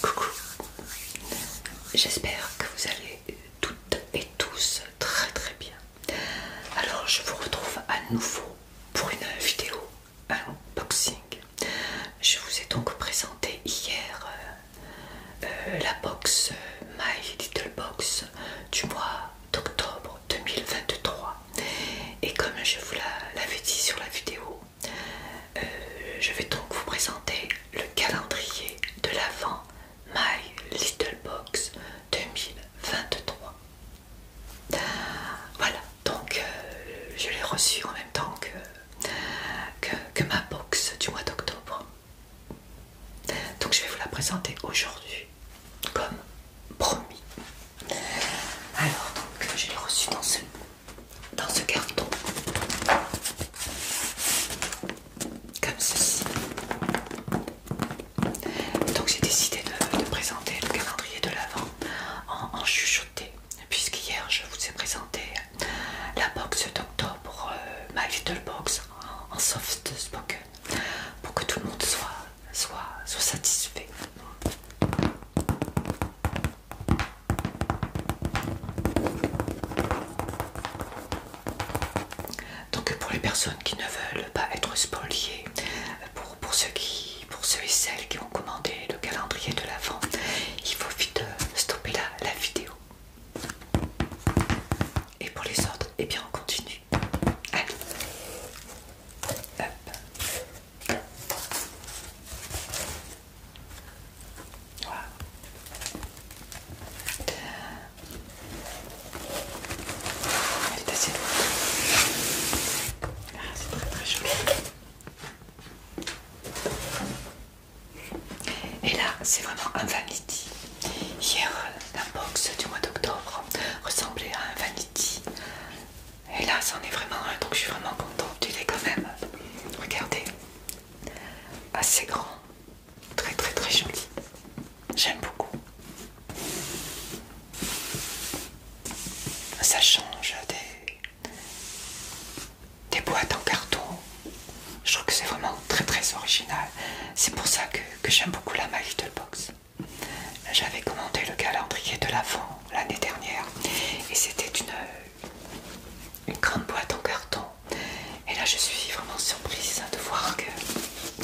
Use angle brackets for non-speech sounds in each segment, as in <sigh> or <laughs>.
Coucou, j'espère que vous allez toutes et tous très très bien. Alors je vous retrouve à nouveau pour une vidéo unboxing. Je vous ai donc présenté hier euh, euh, la box euh, My Little Box du mois d'octobre 2023 et comme je vous l'avais dit sur la vidéo euh, je vais donc vous présenter le calendrier de l'avant My Little Box 2023. Voilà, donc euh, je l'ai reçu en même temps que, que, que ma box du mois d'octobre. Donc je vais vous la présenter aujourd'hui, comme promis. Alors donc je l'ai reçu dans ce dans ce carton comme ceci donc j'ai décidé de, présenter le calendrier de l'avant en, chuchoté, puisque hier je vous ai présenté la box d'octobre euh, ma Little Box en, soft spoken pour que tout le monde soit, soit, soit satisfait donc pour les personnes qui ne veulent pas être spoliées, pour, ceux, qui, pour et celles qui ont commandé le calendrier de l'avant, il faut vite euh, stopper la, la vidéo. Et pour les autres, eh bien on continue. Allez. Ah, c'est très très Et là, c'est vraiment un vanity. Hier, la box du mois d'octobre ressemblait à un vanity. Et là, c'en est vraiment un, donc je suis vraiment contente. Tu l'es quand même. Regardez, assez grand, très très très joli. J'aime beaucoup. Ça change des, boîtes en carton. Je trouve que c'est vraiment très très original. C'est pour ça que, j'aime beaucoup la My Little Box. J'avais commandé le calendrier de l'avant l'année dernière et c'était une une grande boîte en carton. Et là, je suis vraiment surprise de voir que,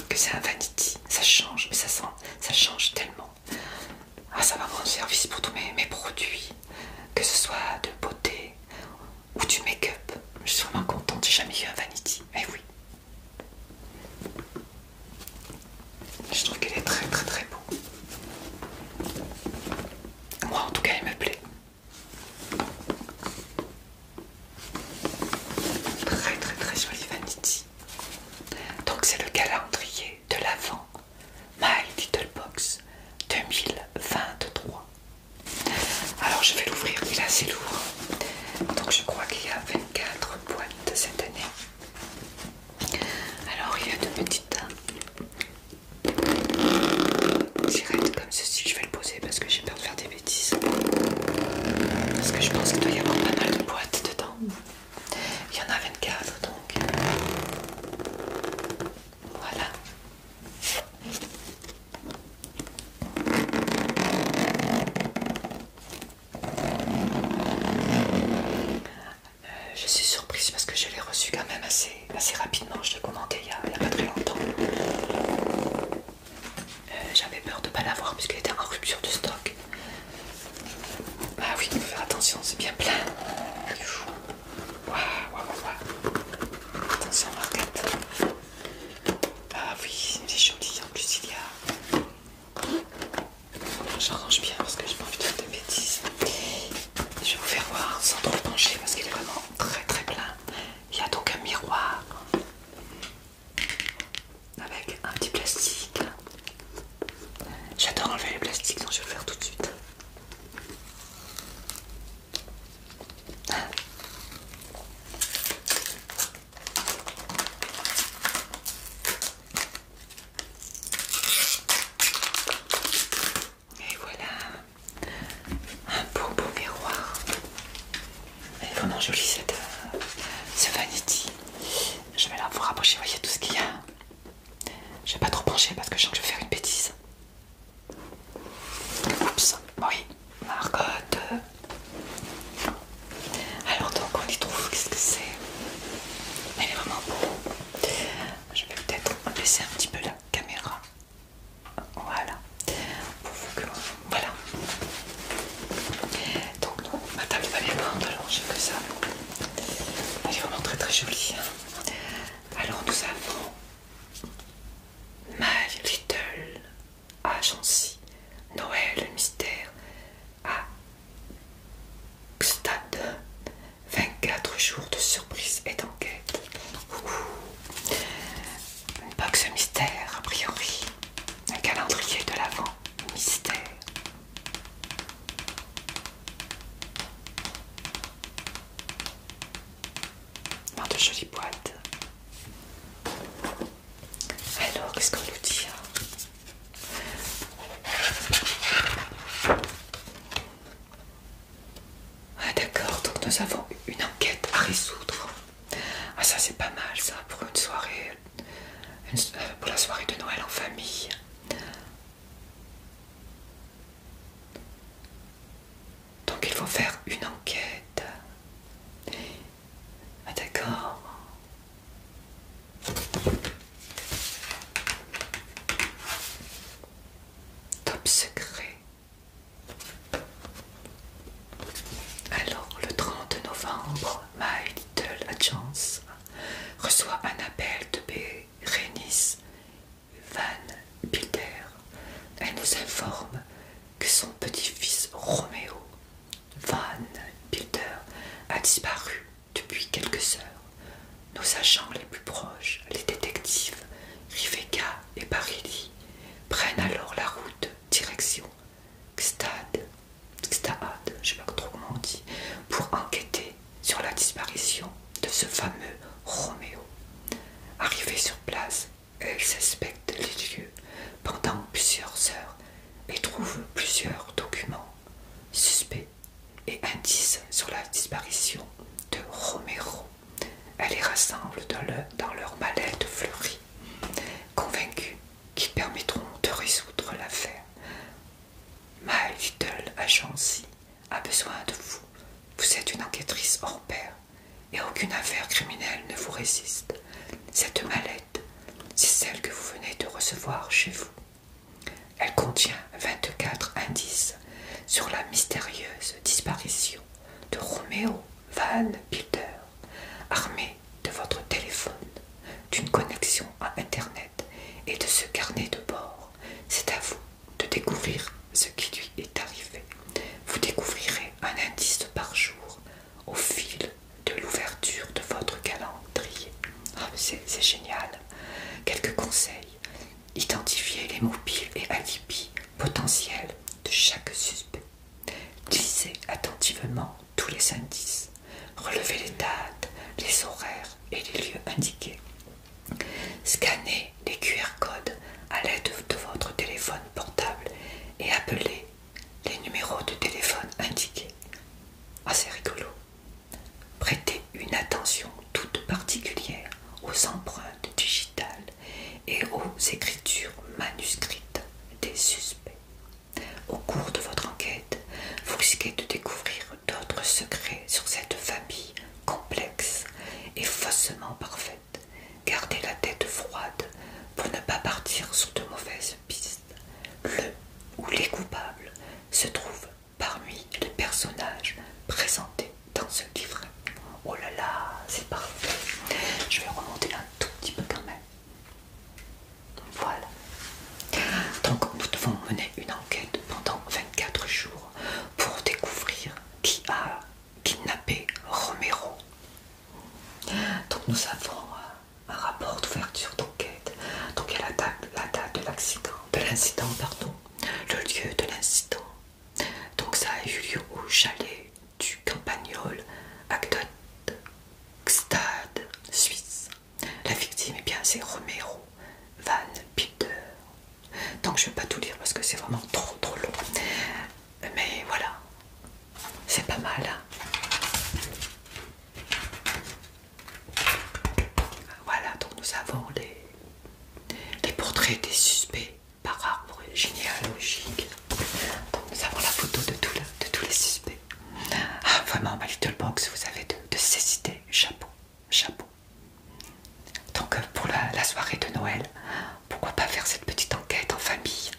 que c'est un vanity. Ça change, mais ça, ça change tellement. Ah, ça va avoir un service pour tous mes, mes produits, que ce soit de beauté ou du make-up. Je suis vraiment contente, j'ai jamais eu un vanity. Mais eh oui. Je trouve qu'il est très très très beau. Moi en tout cas il me plaît. Très très très jolie Vanity. Donc c'est le calendrier de l'avant My Little Box 2023. Alors je vais l'ouvrir, il est assez lourd. Donc je crois qu'il y a 24 boîtes cette année. Alors il y a deux petites J'arrête comme ceci, je vais le poser parce que j'ai peur de faire des bêtises. Parce que je pense qu'il doit y avoir pas mal de boîtes dedans. Il y en a 24 donc. Voilà. Euh, je suis surprise parce que je l'ai reçu quand même assez assez, rapidement, je l'ai commandé il n'y a, pas très longtemps. Euh, j'avais peur de ne pas l'avoir puisqu'elle était en rupture de stock. Ah oui, il faut faire attention, c'est bien plein. Waouh, waouh, waouh. Attention, Marquette. Ah oui, c'est joli. En plus, il y a. J'arrange bien parce que j'ai pas envie de faire de bêtises. Je vais vous faire voir sans trop pencher parce qu'il est vraiment très très plein. Il y a donc un miroir avec un petit plastique. J'adore enlever les plastiques donc je vais le faire tout de suite. Et voilà un beau beau miroir. Elle est vraiment jolie cette euh, ce vanity. Je vais la vous rapprocher, voyez tout ce qu'il y a. Je vais pas trop pencher parce que je sens que je vais faire une bêtise. Oups, oui, Margotte. Alors donc on y trouve, qu'est-ce que c'est Elle est vraiment beau. Je vais peut-être baisser un petit peu la caméra. Voilà. que... Voilà. Donc ma table pas bien prendre, alors j'ai que ça. Elle est vraiment très très jolie. Alors nous avons My Little Agency Noël Mystère à 24 jours de surprise et d'enquête. Une box mystère, a priori. Un calendrier de l'avant mystère. Dans de jolies boîtes. Alors, qu'est-ce qu'on nous dit hein ah d'accord, donc nous avons une enquête à résoudre. Ah ça c'est pas mal ça pour une soirée, euh, pour la soirée de Noël en famille. Donc il faut faire une enquête. Ah d'accord. Top secret. Alors, le 30 novembre, My Little Agence reçoit un appel de Berenice Van Bilder. Elle nous informe que son petit-fils Roméo Van Bilder a disparu depuis quelques heures. Nos agents les plus proches, les détectives Riveka et Parili prennent alors la route direction xstad je pour enquêter sur la disparition de ce fameux Roméo. Arrivée sur place, elle s'inspecte les lieux pendant plusieurs heures et trouvent plusieurs documents suspects et indices sur la disparition de Roméo. Elle les rassemble dans, leur mallette fleurie, convaincus qu'ils permettront de résoudre l'affaire. My Little Agency a besoin de vous. Vous êtes une enquêtrice hors pair et aucune affaire criminelle ne vous résiste. Cette mallette, c'est celle que vous venez de recevoir chez vous. Elle contient 24 indices sur la mystérieuse disparition de Roméo Van Bilder, armé de votre téléphone, d'une connexion à Internet et de ce carnet de bord. C'est à vous de découvrir ce qui lui est arrivé. Vous découvrirez un indice par jour au fil de l'ouverture de votre calendrier. Ah, c'est génial. Quelques conseils. Identifiez les mobiles et alibis potentiel de chaque suspect. Lisez attentivement tous les indices. Relevez les dates, les horaires et les lieux indiqués. Scannez les QR codes à l'aide de votre téléphone portable et appelez les numéros de téléphone indiqués. Assez ah, rigolo. Prêtez une attention toute particulière aux empreintes digitales et aux écritures manuscrites des suspects. Au cours de votre enquête, vous risquez de découvrir d'autres secrets sur cette famille complexe et faussement parfaite. Gardez la tête froide pour ne pas partir sur de mauvaises pistes. Le ou les coupables se trouvent parmi les personnages présentés dans ce livre. Oh là là, c'est parfait. Je vais remonter un tout petit peu quand même. Voilà. Donc nous devons mener une enquête pendant 24 jours pour découvrir qui a kidnappé Romero. Donc nous avons euh, un rapport d'ouverture d'enquête. Donc il y la date, de l'accident, de l'incident, pardon, le lieu de l'incident, donc ça a eu lieu au chalet du Campagnol à Stade, Suisse. La victime, eh bien, c'est Romero Van Peter. Donc je ne vais pas tout lire parce que c'est vraiment trop trop long. Mais voilà, c'est pas mal. Hein. voilà, donc nous avons les portraits des suspects par rare généalogique. Donc nous avons la photo de, de tous les suspects. Ah, vraiment, ma little box, vous avez de, cécité. Chapeau, chapeau. Donc euh, pour la soirée de Noël, pourquoi pas faire cette petite enquête en famille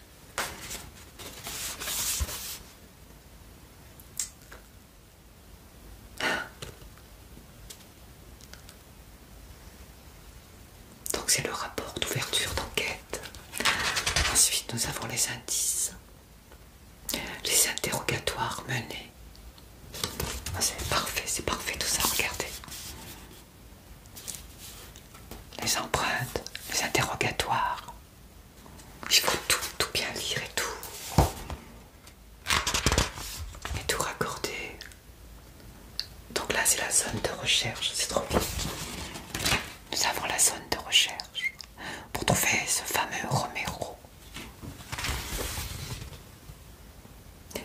donc c'est le rapport d'ouverture d'enquête. Ensuite nous avons les indices, les interrogatoires menés. Ah, c'est parfait, c'est parfait tout ça, regardez. Les empreintes, les interrogatoires. Il faut tout, tout bien lire et tout. Et tout raccorder donc là c'est la zone de recherche, c'est trop bien. Nous avons la zone de recherche pour trouver ce fameux Romero.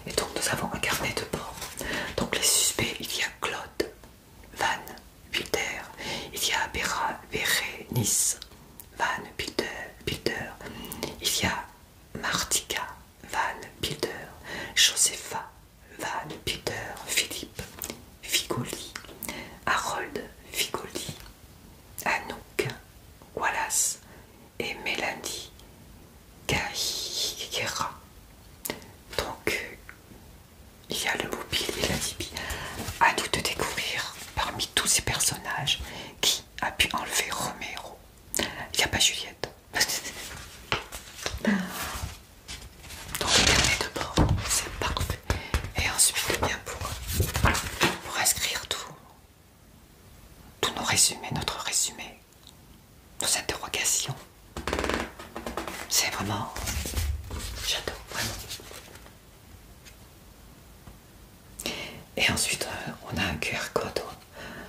Et donc nous avons un carnet de bord. Donc les suspects, il y a Claude, Van Bilder. il y a Nice Van Bilder. il y a Martika, Van Wilder, Josefa. Van Peter Philippe Figoli, Harold Figoli, Anouk Wallace et Mélanie Carriera. Donc, il y a le mobile et la tibi À nous de découvrir parmi tous ces personnages qui a pu enlever Romero. Il n'y a pas Juliette. Donc le carnet de bord, c'est parfait. Et ensuite, eh bien pour, pour inscrire tout, tous nos résumés, notre résumé, nos interrogations. C'est vraiment... J'adore, vraiment. Et ensuite, euh, on a un QR code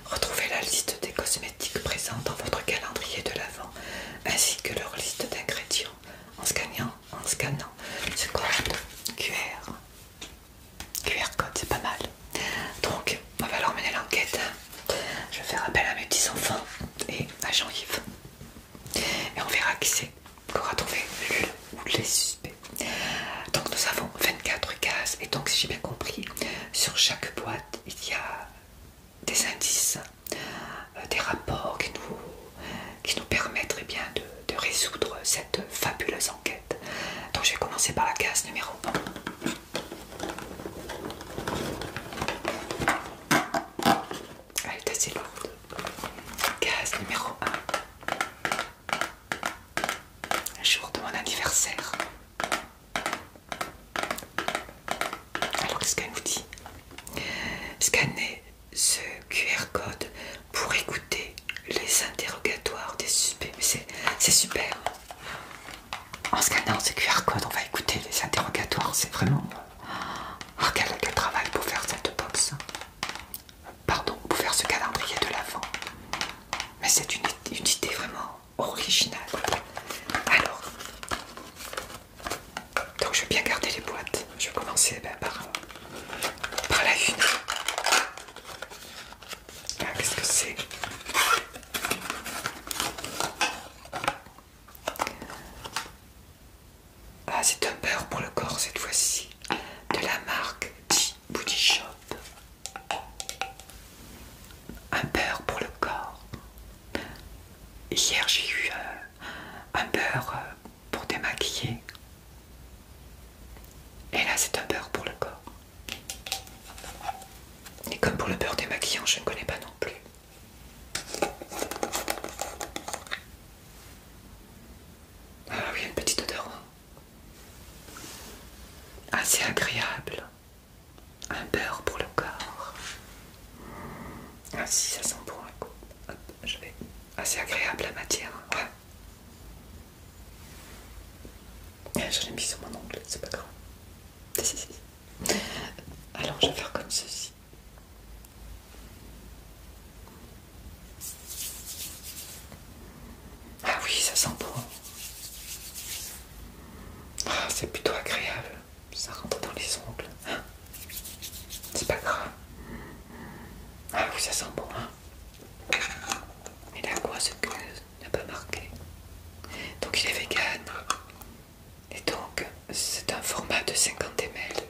Retrouvez la liste des cosmétiques présents dans votre calendrier de l'avant ainsi que leur liste d'ingrédients en scannant, en scannant ce code QR. QR code, c'est pas mal. Donc, on va leur mener l'enquête. Hein. Je vais faire appel à mes petits-enfants et à Jean-Yves. Et on verra qui c'est qu'aura trouvé le ou les suspects. Donc, nous avons 24 cases. Et donc, si j'ai bien compris, sur chaque boîte, il y a des indices, euh, des rapports qui nous, qui nous permettent eh bien, de, résoudre cette fabuleuse enquête. Donc je vais commencer par la case numéro 1. Elle est assez lourde. Case numéro 1. Le jour de mon anniversaire. Alors qu'est-ce qu'elle nous dit Scanner ce QR code pour écouter les interrogatoires des suspects. C'est super. En scannant ce QR code, on va écouter les interrogatoires. C'est vraiment... regarde oh, quel, travail pour faire cette box. Pardon, pour faire ce calendrier de l'avant. Mais c'est une, une idée vraiment original. Alors, donc je vais bien garder les boîtes. Je vais commencer eh ben, par, la une. Qu'est-ce que c'est ah, c'est un beurre pour le corps cette fois-ci, de la marque dit Booty Shop. Un beurre pour le corps Hier, j'ai eu euh, un beurre euh, pour démaquiller. Et là, c'est un beurre pour le corps. Et comme pour le beurre démaquillant, je ne connais pas non plus. Ah oui, une petite odeur. Hein. Assez agréable un beurre pour le corps. Ah si, ça sent bon un coup. Hop, je vais. Ah, c'est agréable la matière. Hein, ah, je l'ai mis sur mon ongle, c'est pas grave. si. Alors, je vais faire comme ceci. Ah oui, ça sent bon. Ah, c'est plutôt agréable ça rentre dans les ongles. Hein c'est pas grave. Ah oui, ça sent bon, hein a quoi ce que n'a pas marqué. Donc il est vegan. Et donc, c'est un format de 50 ml.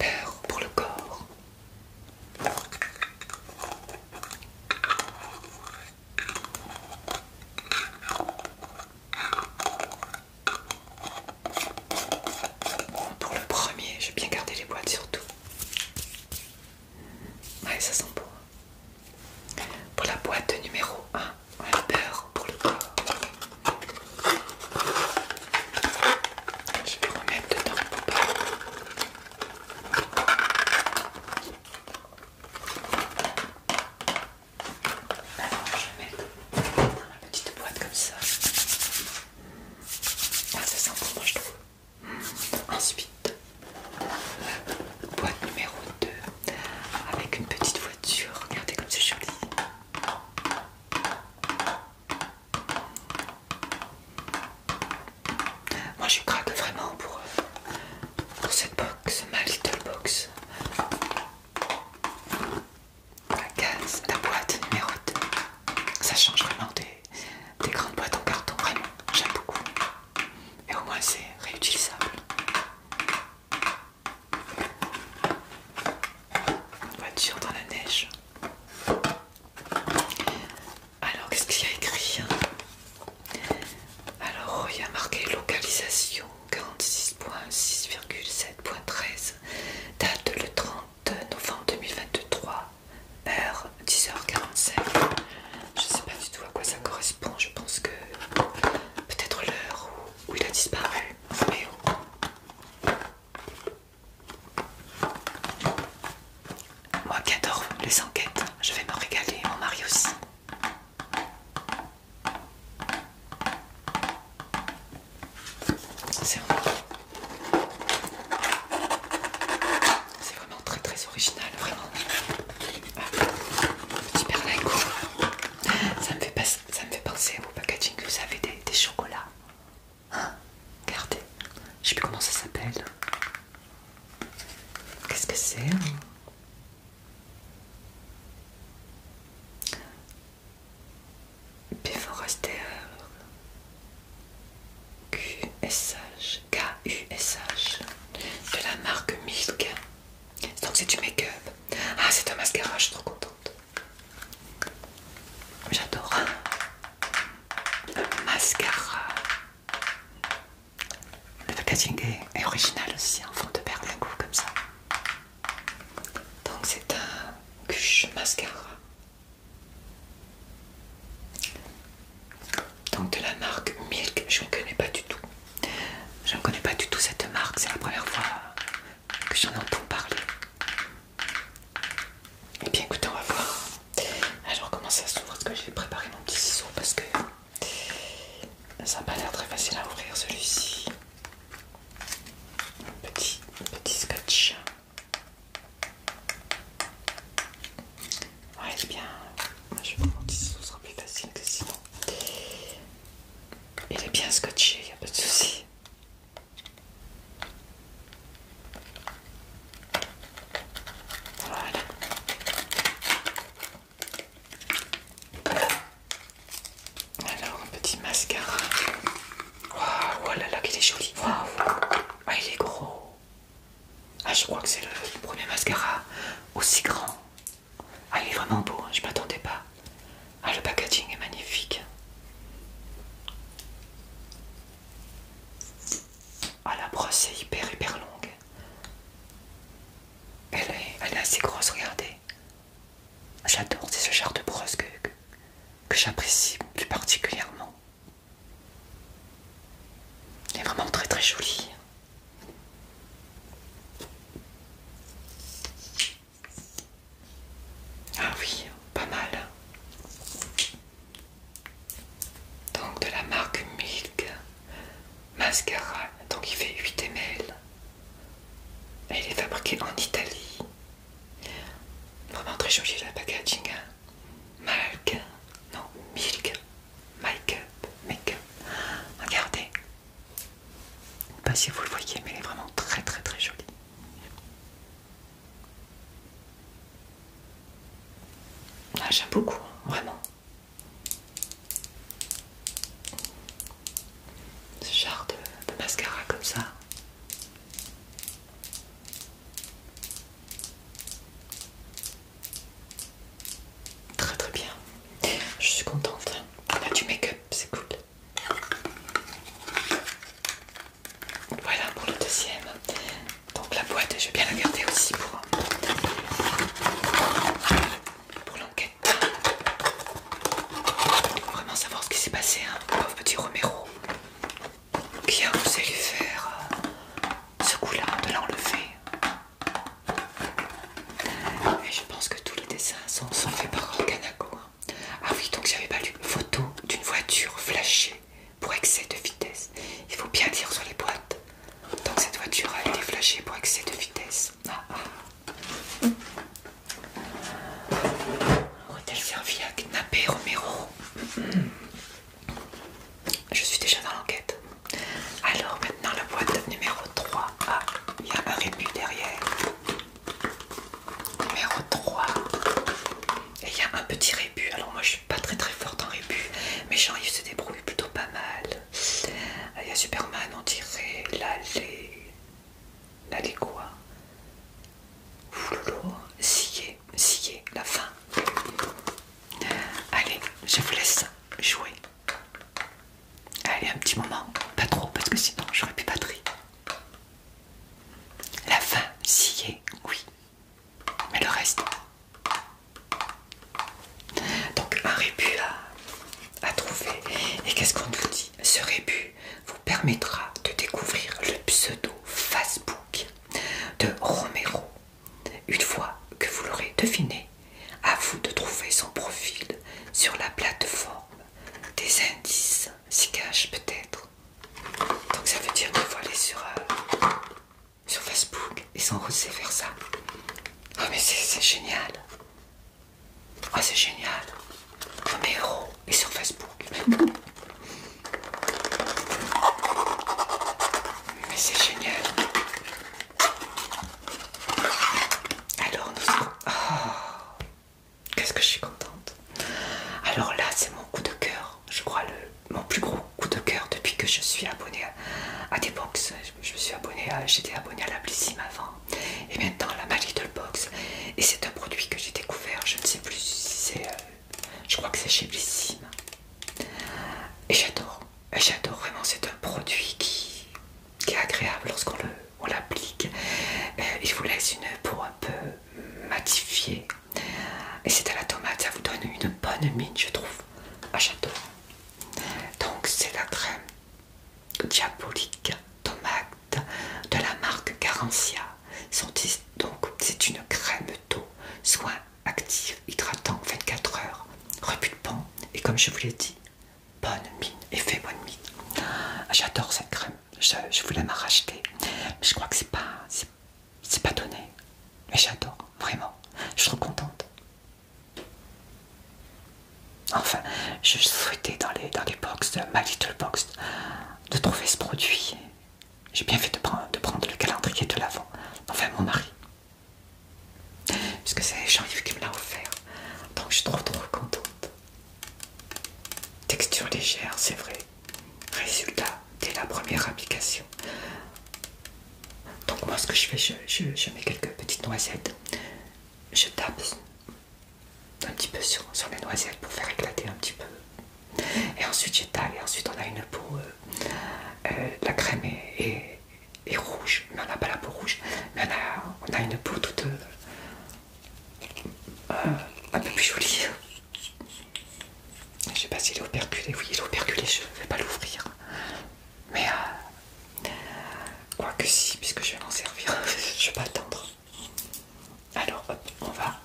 Beurre pour le corps pour le premier, je vais bien garder les boîtes surtout. Ouais, ça sent bon. Pour la boîte numéro 1, on a peur pour le corps. Je vais remettre dedans alors, je vais dans petite boîte comme ça. Ah, ça sent bon, je trouve. Ensuite, boîte numéro 2 avec une petite voiture. Regardez comme c'est joli. Moi je craque vraiment pour, euh, pour cette box, ma little box. La case, la boîte numéro 2. Ça change vraiment des, grandes boîtes en carton, vraiment, j'aime beaucoup. Et au moins c'est réutilisable. Une voiture dans la neige. Alors qu'est-ce qu'il y a écrit hein alors, il y a marqué localisation 46.6,7.13, date le 30 novembre 2023, heure 10h45. Je sais pas du tout à quoi ça correspond, je pense que peut-être l'heure où, il a disparu. Mais oh. Moi qui adore les enquêtes, je vais me régaler, mon mari aussi. C'est vraiment très très original, vraiment. Ah, Petit berlingot. Ça me fait, ça me fait penser au packaging, que vous avez des, des chocolats. Hein Regardez. Je sais plus comment ça s'appelle. Qu'est-ce que c'est hein puis faut rester euh, QSH, KUSH de la marque Milk. Donc c'est du make-up. Ah c'est un mascara, je suis trop contente. J'adore. Un hein. mascara le packaging est, original aussi, en fond de berlingot comme ça. Donc c'est un cuche mascara. Donc de la marque Milk, je ne connais pas du tout. Je ne connais pas du tout cette marque, c'est la première fois que j'en entends parler. Et eh bien écoutez, on va voir. Alors comment ça s'ouvre Est-ce que vais préparer mon petit ciseau parce que ça n'a pas l'air très facile à ouvrir celui-ci. Petit, petit scotch. Ouais, est bien. je vous demande si ce sera plus facile que sinon. Il est bien scotché, il n'y a pas de soucis. Voilà. Alors un petit mascara. oh là là, qu'il est joli. Waouh, ah, il est gros. Ah, je crois que c'est le premier mascara aussi grand. Ah, il est vraiment beau, je hein, je m'attendais pas. Ah, le packaging est magnifique. Ah, la brosse est hyper, hyper longue. Elle est, assez grosse, regardez. J'adore, c'est ce genre de brosse que, j'apprécie plus particulièrement. Elle est vraiment très très jolie. Ah oui, pas mal. Donc de la marque Milk mascara, donc il fait 8 ml. Et il est fabriqué en Italie. Vraiment très joli le packaging. Hein. non, Milk, Make Up, Make Up. Regardez. Pas si vous le voyez, mais il est vraiment très très très joli. Ah, j'aime beaucoup, hein, vraiment ce genre de, mascara comme ça. Très très bien. Je suis contente. On ah, a bah, du make-up, c'est cool. Voilà pour le deuxième. Donc la boîte, je vais bien la garder aussi pour, pour l'enquête. Il faut vraiment savoir ce qui s'est passé, hein, pauvre petit Romero qui a osé lui faire euh, ce coup-là, de l'enlever. Et je pense que tous les dessins sont, faits par Kanako. Hein. Ah oui, donc j'avais pas lu. Photo d'une voiture flashée pour excès de vitesse. Il faut bien dire sur les boîtes. Donc cette voiture a été flashée pour excès de vitesse. Ah, ah. Hôtel à kidnapper Romero. Je suis déjà dans l'enquête. Alors maintenant la boîte numéro 3. Ah, il y a un rébut derrière. Numéro 3. Et il y a un petit rébut. Alors moi je suis pas très très forte en rébut. Mais j'arrive à se débrouiller plutôt pas mal. Allez euh, Il y a Superman on dirait l'allée. L'allée quoi Ouloulou, Scier, la fin. Allez, je vous laisse jouer. Allez, un petit moment, pas trop, parce que sinon j'aurais pas batterie. La fin, est, oui. Mais le reste. Donc un rébut à, trouver. Et qu'est-ce qu'on vous dit Ce rébut vous permettra de découvrir le pseudo Facebook de Romero. Une fois que vous l'aurez deviné, à vous de trouver son profil sur la plateforme. Des indices s'y cachent peut-être. Donc ça veut dire que vous sur, euh, sur Facebook et s'en vers ça. Ah oh, mais c'est génial oh, c'est génial. Ah, mon héros. Oh, et sur Facebook. Mais c'est génial. Alors, nous sommes... Ah, qu'est-ce que je suis contente. Alors là, c'est mon coup de cœur. Je crois le mon plus gros coup de cœur depuis que je suis abonnée à, à des box. Je, me suis abonnée à... J'étais abonnée à la Blissim avant et maintenant la Magic Box et c'est un produit que j'ai découvert je ne sais plus si c'est euh, je crois que c'est chez Blissime et j'adore j'adore vraiment c'est un produit qui, est agréable lorsqu'on l'applique et euh, il vous laisse une peau un peu matifiée et c'est à la tomate ça vous donne une bonne mine je trouve ah j'adore donc c'est la crème diabolique tomate de la marque Carencia. Donc c'est une crème d'eau, soin actif, hydratant 24 heures, repulpant et comme je vous l'ai dit, bonne mine, effet bonne mine. J'adore cette crème, je, voulais m'en racheter, mais je crois que c'est pas, c'est pas donné. Mais j'adore, vraiment, je suis contente. Enfin, je souhaitais dans les, dans box, de ma little box, de trouver ce produit. J'ai bien fait de prendre, le calendrier de l'avant, enfin mon mari. que c'est Jean-Yves qui me l'a offert. Donc je suis trop trop contente. Texture légère, c'est vrai. Résultat, dès la première application. Donc moi ce que je fais, je mets quelques petites noisettes. Je tape un petit peu sur, sur les noisettes pour faire éclater un petit peu. Et ensuite j'étale et ensuite on a une peau, euh, euh, la crème est, rouge, mais on n'a pas la peau rouge, mais on a, une peau toute euh, un peu plus jolie. Je sais pas s'il est operculé, oui il est operculé, je ne vais pas l'ouvrir. Mais Quoique si, puisque je vais m'en servir, <laughs> je vais pas attendre. Alors hop, on va.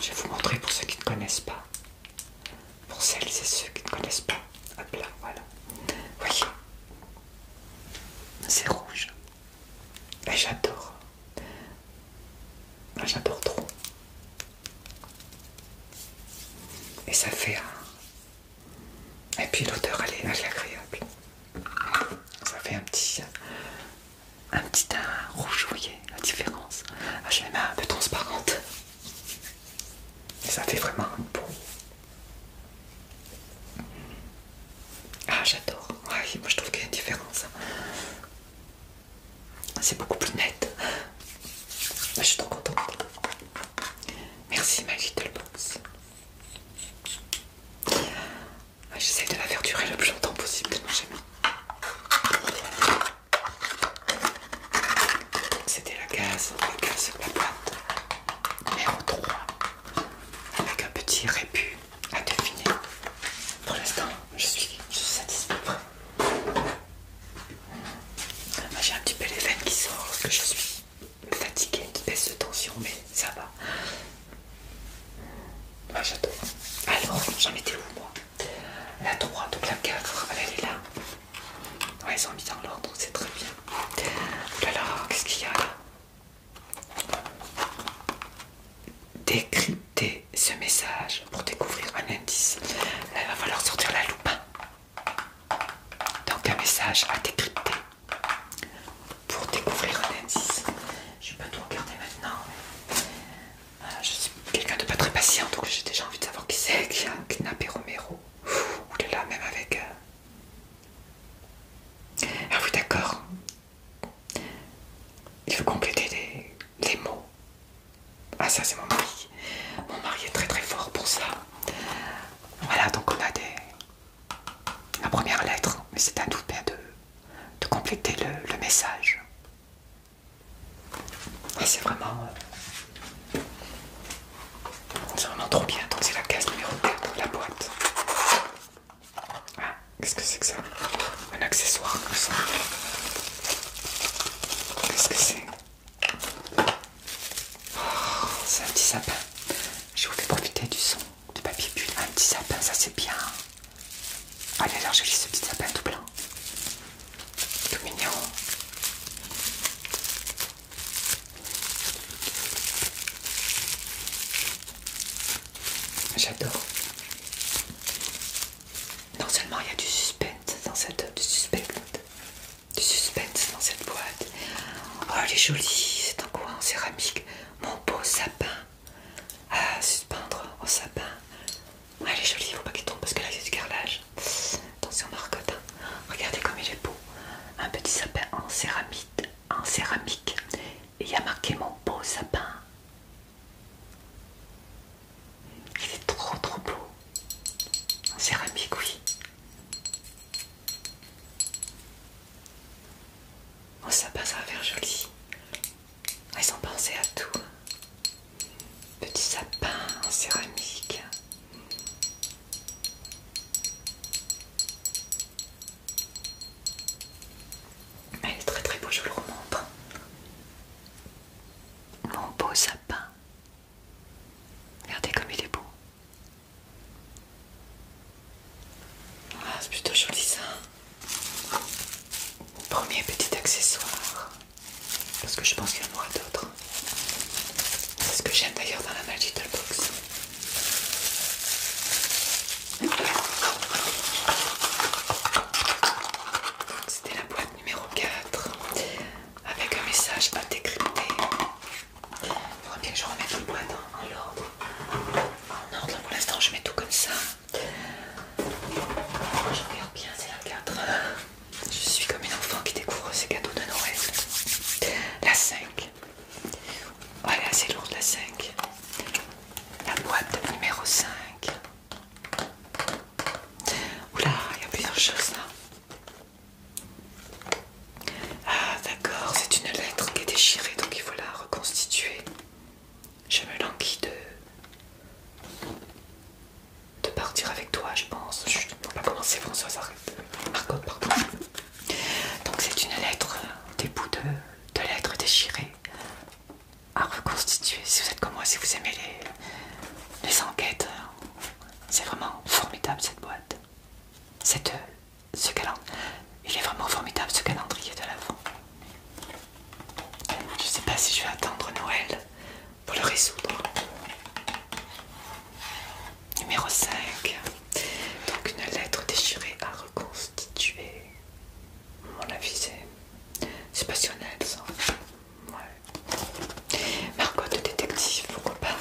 Je vais vous montrer pour ceux qui ne connaissent pas. Pour celles et ceux qui ne connaissent pas. Hop là, voilà. Voyez. C'est rouge. Et ben, j'adore. Ben, j'adore trop. Et ça fait un, et puis l'odeur elle, est agréable. Ça fait un petit, un petit teint rouge voyez la différence. Ah, J'ai les un peu transparente, Et ça fait vraiment un beau. Ah j'adore. moi je trouve qu'il y a une différence. C'est beaucoup plus net. Ah, je suis trop contente. Merci ma Little Box. Ah, j'essaie de la faire le plus longtemps possible tellement j'aime. C'était la case, la case de la boîte numéro 3 avec un petit rébut à définir. Pour l'instant, je suis, satisfait. Ah, j'ai un petit peu les veines qui sortent, que je suis fatiguée, une de tension, mais ça va. Moi ah, j'adore. Alors, j'en mettais où moi La 3, donc la 4, elle est là. Ouais, ils ont mis dans l'ordre, c'est très bien. Alors, là là, qu'est-ce qu'il y a là Décrypter ce message pour découvrir un indice. Là, il va falloir sortir la loupe. Hein. Donc un message à décrypter pour découvrir un indice. Je vais pas tout regarder maintenant. Euh, je suis quelqu'un de pas très patient, donc j'ai déjà envie de savoir qui c'est qui a kidnappé Romero. Ouh là, même avec. Euh, ah oui, d'accord. Il veut compléter les, les mots. Ah, ça, c'est mon mari. Mon mari est très très fort pour ça. Voilà, donc on a des, la première lettre, mais c'est à tout de, de compléter le, message. Et ah, c'est vraiment, euh, c'est vraiment trop bien. Donc c'est la case numéro 4 de la boîte. Ah, qu'est-ce que c'est que ça Un accessoire comme ça. Qu'est-ce que c'est Oh, c'est un petit sapin. Je vous fais profiter du son du papier bulle. Un petit sapin, ça c'est bien. Allez, alors je lis ce petit sapin tout blanc. Tout mignon. J'adore. Non seulement il y a du suspense dans cette du suspense du suspense dans cette boîte. Oh, elle est jolie, c'est en quoi en céramique. Mon beau sapin à suspendre en sapin. elle est jolie, il faut pas qu'il tombe parce que là, c'est du carrelage. Attention, marcotte. Hein. Regardez comme il est beau. Un petit sapin en céramique. En céramique. Et il y a marqué mon beau sapin. Il est trop trop beau. En céramique, oui sapin, oh, ça va faire joli. Ils ont pensé à tout. Petit sapin en céramique. Il est très très beau, je vous le remontre. Mon beau sapin. Regardez comme il est beau. Ah, c'est plutôt joli ça. Premier petit accessoire. Parce que je pense qu'il y en aura d'autres. C'est ce que j'aime d'ailleurs dans la Magical Box. C'était la boîte numéro 4 avec un message à décrypter. Il faudra bien que je remette une boîte en, ordre. En ordre, pour l'instant, je mets tout comme ça. Je regarde bien, c'est la 4. Je suis comme une enfant qui découvre ses cadeaux de Noël. La 5. voilà' elle est assez lourde, la 5. La boîte numéro 5. Oula, il y a plusieurs choses là. Ah d'accord, c'est une lettre qui est déchirée, donc il faut la reconstituer. Je me languis de... partir avec toi, je pense. Je ne pas commencer c'est Françoise, arrête. pardon. Donc c'est une lettre, des bouts de, lettre lettres déchirées à reconstituer. Si vous êtes comme moi, si vous aimez les, les enquêtes, hein, c'est vraiment formidable cette boîte. Cette ce calendrier. Il est vraiment formidable ce calendrier de l'avant. Je sais pas si je vais attendre Noël pour le résoudre. Numéro 5. Donc une lettre déchirée à reconstituer. Mon avis c'est passionnel ça. Marco, de détective, pourquoi pas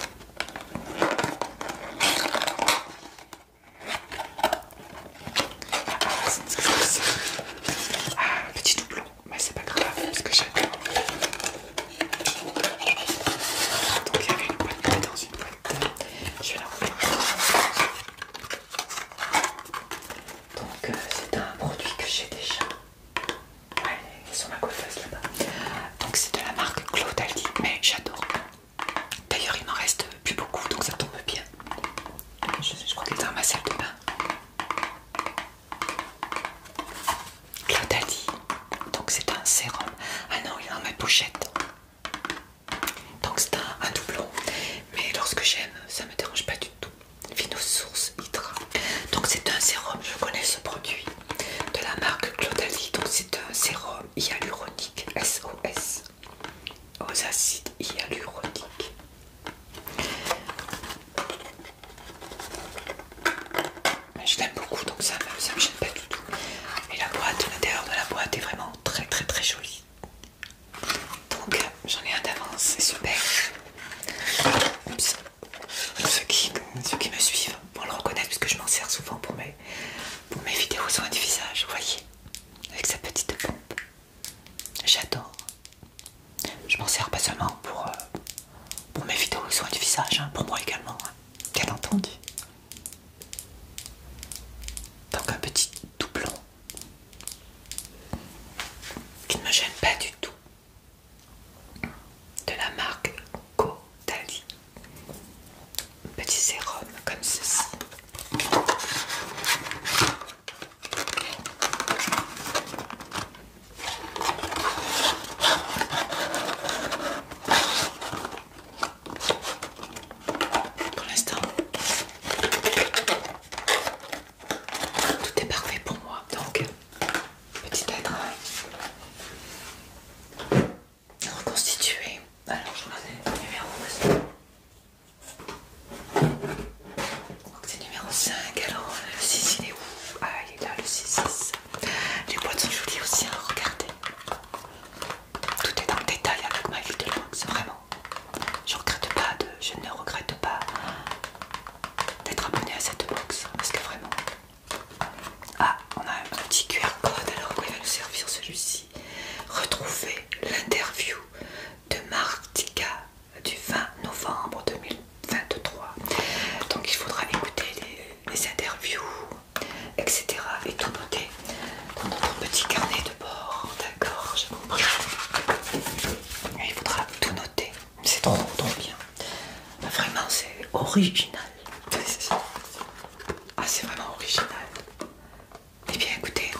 ah, petit doublon, mais c'est pas grave parce que j'adore. Donc il y avait une boîte dans une boîte. Je vais la rouler. Donc euh, c'est un produit que j'ai déjà. Ouais, sur ma coiffeuse, là-bas. Donc c'est de la marque Claude mais j'adore. D'ailleurs, il m'en reste plus beaucoup, donc ça tombe bien. Je, crois qu'il est dans ma salle de bain. Claudalie, donc c'est un sérum. Ah non, il est dans ma pochette. Donc c'est un, doublon. Mais lorsque j'aime, ça ne me dérange pas du tout. Vinosource Hydra. Donc c'est un sérum, je connais ce produit de la marque Claudali. Donc c'est un sérum hyaluronique SOS aux acides hyaluroniques. Je l'aime beaucoup donc ça me gêne pas du tout. Et la boîte, l'intérieur de la boîte est vraiment très très très jolie. Donc j'en ai un d'avance, c'est super. Ceux qui, ceux qui me suivent vont le reconnaître puisque je m'en sers souvent pour mes pour mes vidéos soins du visage, vous voyez, avec sa petite pompe. J'adore. Je m'en sers pas seulement pour, euh, pour mes vidéos soins du visage, hein, pour moi également, hein. bien entendu. Donc un petit doublon qui ne me gêne pas du tout de la marque Caudalie petit sérum comme ceci. Pour l'instant, tout est parfait pour moi. Donc, petit être reconstitué. Alors je vous donne le numéro Donc c'est numéro 5. Alors euh, le 6 il est où Ah il est là le 6. 6. Les boîtes sont jolies aussi, à hein, regardez. Tout est dans le détail avec ma vie de box vraiment. Je regrette pas de, je ne regrette pas d'être abonné à cette box parce que vraiment. Ah, on a un petit QR code alors il va nous servir celui-ci retrouver l'interview de Martika du 20 novembre 2023. Donc il faudra écouter les, interviews, etc. et tout noter dans notre petit carnet de bord. D'accord, j'ai compris. Il faudra tout noter. C'est trop, trop bien. Vraiment, c'est original. Ah, c'est vraiment original. Eh bien écoutez,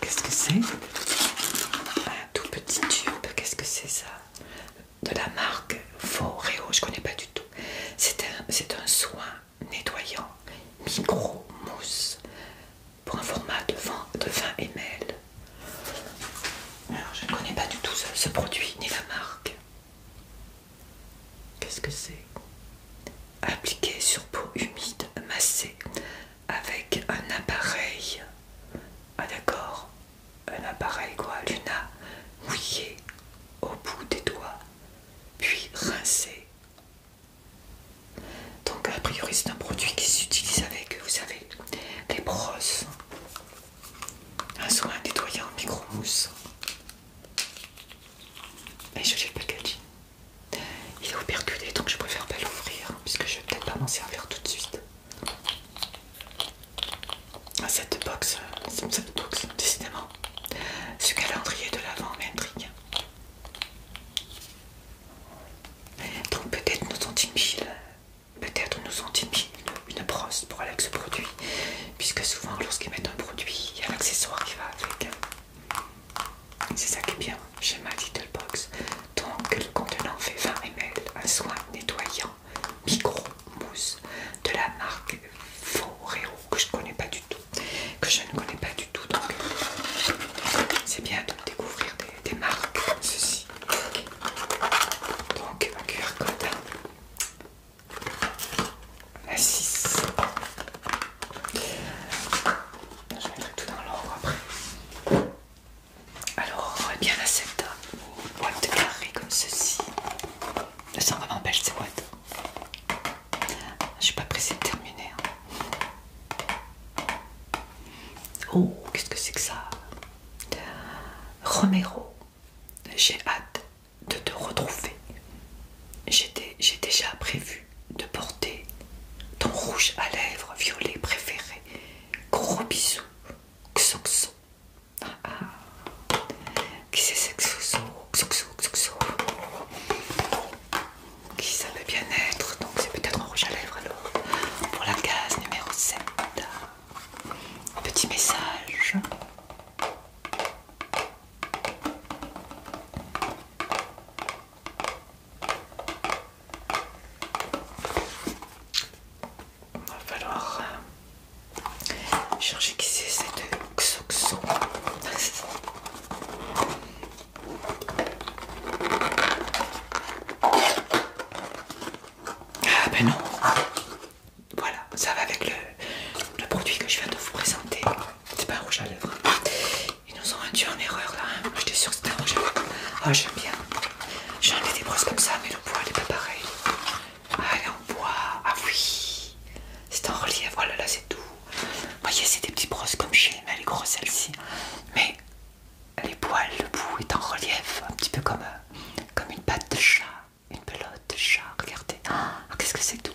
qu'est-ce que c'est Un tout petit tube, qu'est-ce que c'est ça De la marque Foreo, je connais pas du tout. C'est un soin nettoyant micro-mousse pour un format de 20, de ml. Alors, je ne connais pas du tout ce, produit ni la marque. Qu'est-ce que c'est Appliqué sur peau humide, massée, avec un appareil. Ah d'accord, un appareil quoi, Luna, mouillé au bout des doigts, puis rincé donc a priori c'est un produit qui s'utilise avec, vous savez, des brosses, un soin nettoyant micro-mousse. Mais je le packaging. Il est percuter, donc je préfère pas l'ouvrir puisque je vais peut-être pas m'en servir tout de suite. Ah, cette box, euh, cette box, décidément. Ce calendrier de l'avant m'intrigue. Donc peut-être nous ont-ils peut-être nous ont mis une, brosse pour aller avec ce produit, puisque souvent lorsqu'ils mettent un produit, il y a un accessoire qui va avec. C'est ça qui est bien chez ma Little Box. Donc le contenant fait 20 ml, un soin nettoyant micro mousse de la marque Foreo que je ne connais pas du tout que je ne connais pas du tout. Donc, c'est bien de découvrir des, marques comme ceci. Donc, ma cure code. La 6. Je mettrai tout dans l'ordre après. Alors, eh bien la cette Boîte carrée comme ceci. Elles sont vraiment belles ces boîtes. Je suis pas pressée de terminer. Hein. Oh, qu'est-ce que c'est que ça Romero, j'ai hâte de te retrouver. J'ai déjà prévu de porter ton rouge à lèvres violet préféré. Gros bisous, Xoxo. ah. ah. Qui c'est Xoxo Xoxo, Xoxo qui savait bien-être, donc c'est peut-être un rouge à lèvres alors pour la case numéro 7. Petit message. Il va falloir euh, chercher qui c'est cette xoxo. <laughs> Ah ben non. Voilà, ça va avec le, produit que je viens de vous présenter. C'est pas un rouge à lèvres. Ils nous ont induit en erreur là. Hein. J'étais sûre que c'était un rouge à lèvres. Ah, j'aime bien. j'ai enlevé des brosses comme ça, mais le poids n'est pas pareil. Ah, on est Ah oui. C'est en relief. Voilà, oh là c'est tout. Vous voyez, c'est des petites brosses comme chez elle est grosse celle-ci. Mais les poils, le bout est en relief, un petit peu comme, euh, comme une patte de chat, une pelote de chat. Regardez, ah, qu'est-ce que c'est tout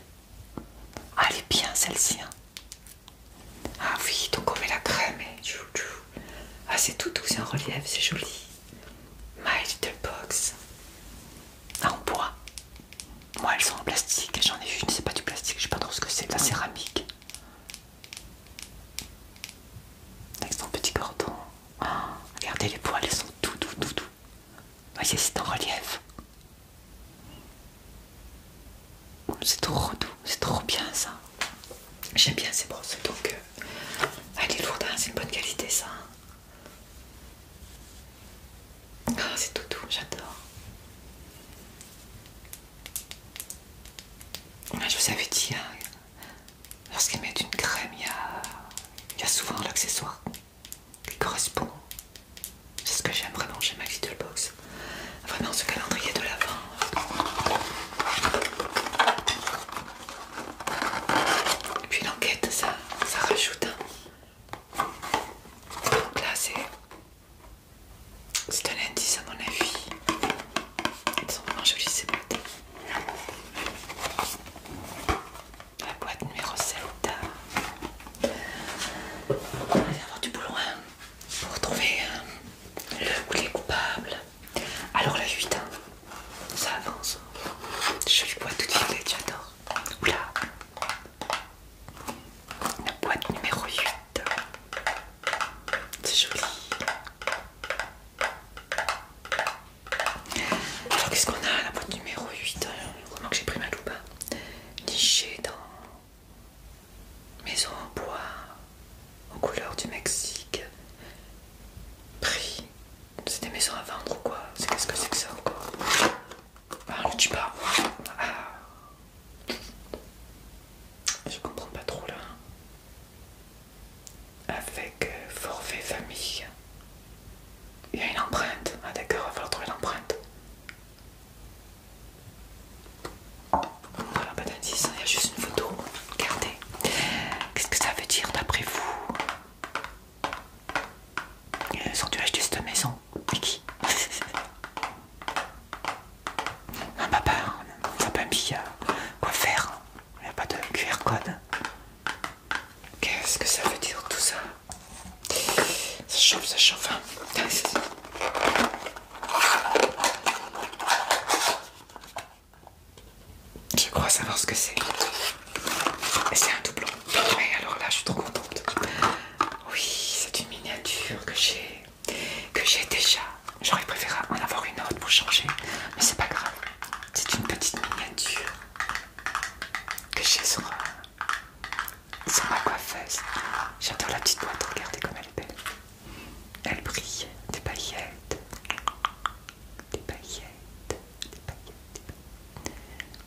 Ah, elle est bien celle-ci. Hein. Ah oui, donc on met la crème et Ah, c'est tout doux, c'est en relief, c'est joli. My little box. en ah, bois. Moi, elles sont en plastique. J'en ai vu une, c'est pas du plastique, je sais pas trop ce que c'est, de la céramique. Avec son petit cordon. Ah, regardez les poils, ils sont tout, doux doux. doux. Voyez, c'est en relief. C'est trop doux, c'est trop bien ça. J'aime bien ces brosses, donc avec euh, elle est hein, c'est une bonne qualité ça. Ah, c'est tout doux, j'adore. Je vous avais dit, hein, lorsqu'ils mettent une crème, il y a, souvent l'accessoire qui correspond. C'est ce que j'aime vraiment chez ma Little Box. Vraiment ce calendrier de l'avant. Et puis l'enquête, ça, ça rajoute. Hein. Donc là, c'est c'est un indice à mon avis. Ils sont vraiment jolies ces boîtes. La boîte numéro 7. On va avoir du boulot hein, pour trouver hein, le ou les coupables. Alors la 8, hein, ça avance. Jolie boîte toute violette, j'adore. Oula. La boîte numéro 8. C'est joli. Alors qu'est-ce qu'on a à La boîte numéro 8. Vraiment hein. que j'ai pris ma loupe. Hein. Nichée dans maison en bois aux couleurs du Mexique. Prix. C'est des maisons à vendre ou quoi C'est qu'est-ce que c'est que ça encore bah, Ah, le tuba. Je comprends pas trop là. Avec euh, forfait famille. Il y a une empreinte. Ah d'accord, il va falloir trouver l'empreinte. Voilà, pas d'indice, il y a juste une photo. Regardez. Qu'est-ce que ça veut dire d'après vous Ils euh, tu dû cette maison. qui <laughs> Ah papa, un papy, euh, quoi faire Il n'y a pas de QR code. Qu'est-ce que ça veut dire tout ça Ça chauffe, ça chauffe. Hein. Je crois savoir ce que c'est. c'est un doublon. Mais alors là, je suis trop contente. Oui, c'est une miniature que j'ai que j'ai déjà. J'aurais préféré en avoir une autre pour changer, mais c'est pas grave. C'est une petite miniature que j'ai sur, euh, sur ma coiffeuse. J'adore la petite boîte, regardez comme elle est belle. Elle brille, des paillettes, des paillettes, des paillettes.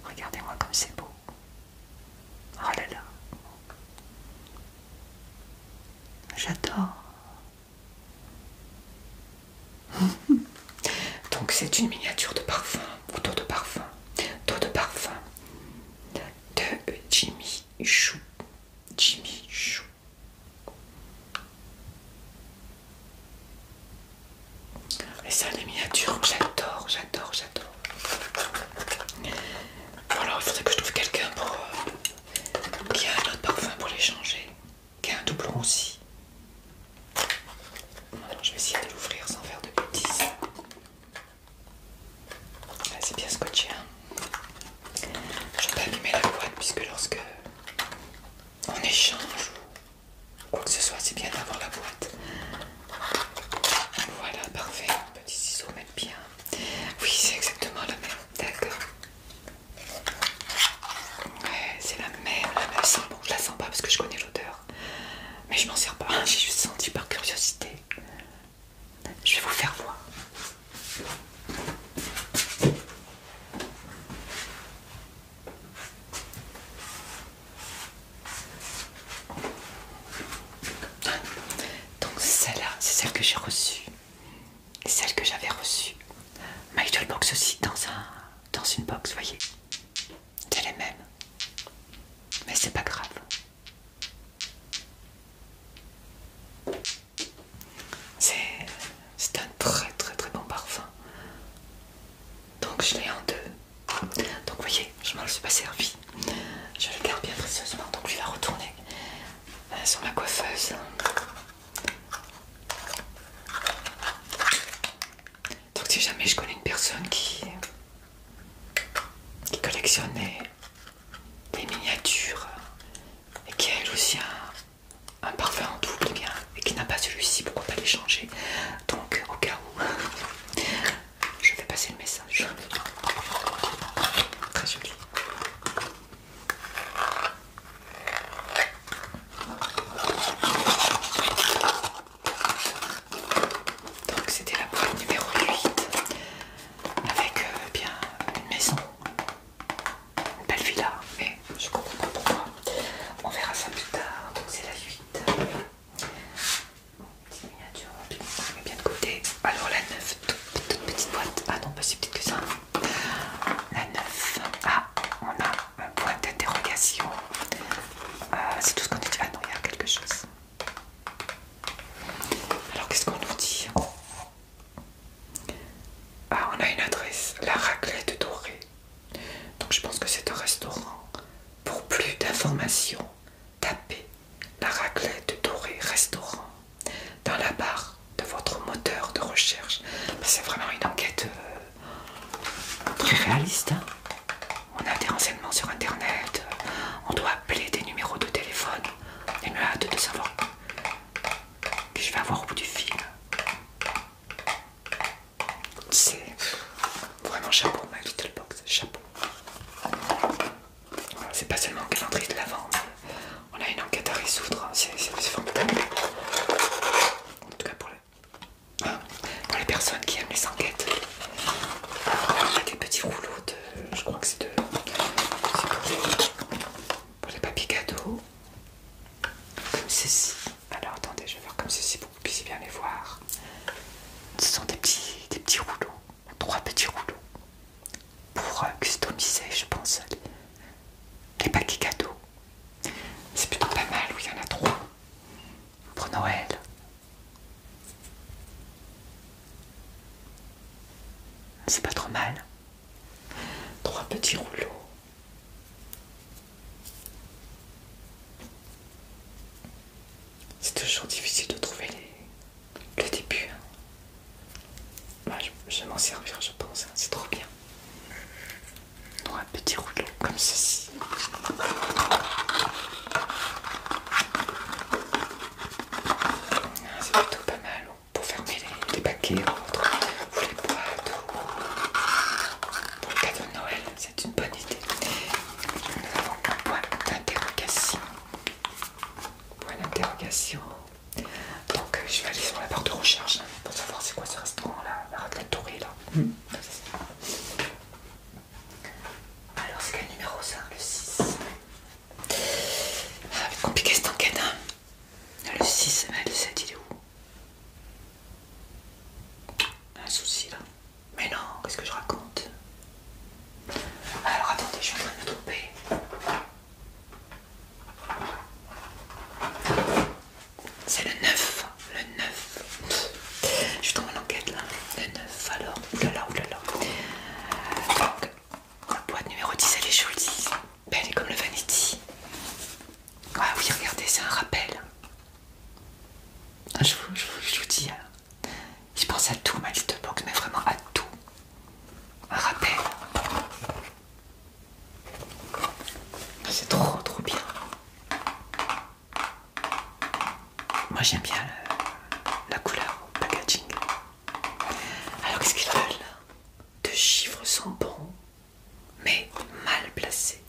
Regardez-moi comme c'est beau. Oh là là. J'adore. <laughs> Donc c'est une miniature de parfum, ou de parfum, d'eau de parfum de Jimmy Chou. Jimmy Chou. Et ça, les miniatures, j'adore, j'adore, j'adore alors il faudrait que je trouve quelqu'un pour euh, qui a un autre parfum pour l'échanger, qui a un doublon aussi je vais essayer de l'ouvrir sans faire de bêtises c'est bien scotché hein. je vais pas abîmer la boîte puisque lorsque on échange ou quoi que ce soit c'est bien d'avoir la boîte voilà parfait petit ciseau bien. Oui, c'est exactement la même. D'accord. c'est la même, la je la sens pas parce que je connais l'odeur. Mais je m'en sers pas. <laughs> J'ai juste senti par curiosité. Je vais vous faire voir. Donc celle-là, c'est celle que j'ai reçue celle que j'avais reçue. My Box aussi dans, un, dans une box, voyez. C'est les mêmes. Mais c'est pas grave. C'est un très très très bon parfum. Donc je l'ai en deux. Donc vous voyez, je m'en suis pas servi. Je le garde bien précieusement. Donc je vais retourner euh, sur la coiffeuse. Donc si jamais je connais une personne qui, qui collectionnait des miniatures et qui a aussi un, parfum en double eh bien, et qui n'a pas celui-ci, pourquoi pas l'échanger Donc au cas où, je vais passer le message. Très donc c'était la boîte numéro 8 avec euh, bien une maison, une belle villa, mais je comprends pas pourquoi. On verra ça plus tard. Donc c'est la 8. Petite miniature bien Alors la 9, toute, petite boîte. Ah non, pas si petite que ça. La 9. Ah, on a un point d'interrogation. Euh, c'est tout ce qu'on a dit. Ah non, il y a quelque chose. Alors qu'est-ce qu'on nous dit ah, on a une adresse, la raclette dorée. Donc je pense que c'est un restaurant. Pour plus d'informations, tapez la raclette dorée restaurant dans la barre de votre moteur de recherche. Bah, c'est vraiment une enquête euh, très réaliste. Hein. On a des renseignements sur internet, euh, on doit appeler des numéros de téléphone. J'ai me hâte de savoir que je vais avoir au bout du fil. C'est vraiment chapeau, ma little box, chapeau. C'est pas seulement qu'elle l'entrée de la vente, on a une enquête à résoudre, c'est formidable. En tout cas hein, pour, les personnes qui aiment les enquêtes. on a des petits rouleaux de. Je crois que c'est de. pour, les... papiers cadeaux. Comme ceci. Alors attendez, je vais faire comme ceci pour que vous puissiez bien les voir. Ce sont des petits, des petits rouleaux trois petits rouleaux pour euh, customiser, je pense, les paquets cadeaux. C'est plutôt pas mal, oui, il y en a trois pour Noël. C'est pas trop mal. Trois petits rouleaux. C'est toujours difficile de trouver les, le début. Moi, je vais m'en servir, je pense. Hein. C'est trop bien. un petit rouleau comme ceci. Ah, c'est plutôt pas mal hein, pour fermer les, paquets entre les boîtes pour le cadeau de Noël. C'est une bonne idée. Nous avons un point d'interrogation. Point d'interrogation. Donc euh, je vais aller sur la barre de recherche pour savoir c'est quoi ce restaurant là, la raclette tourée là. Mm. Alors c'est quel numéro ça Le 6. Ah, mais compliqué cette enquête hein. Ah, le 6, ah, le 7 il est où Un souci là. Mais non, qu'est-ce que je raconte Alors attendez, je suis en train de me tromper. C'est le 9, le 9. Je suis dans mon enquête là. Le 9, alors. Oulala, oulala. Donc, boîte numéro 10, elle est jolie. belle elle est comme le Vanity. Ah oui, regardez, c'est un rappel. Ah, je vous, dis, hein. je pense à tout, ma liste box, mais vraiment à tout. Un rappel. C'est trop trop bien. Moi j'aime bien la, couleur au packaging. Alors qu'est-ce qu'il a là? Deux chiffres sont bons, mais mal placés.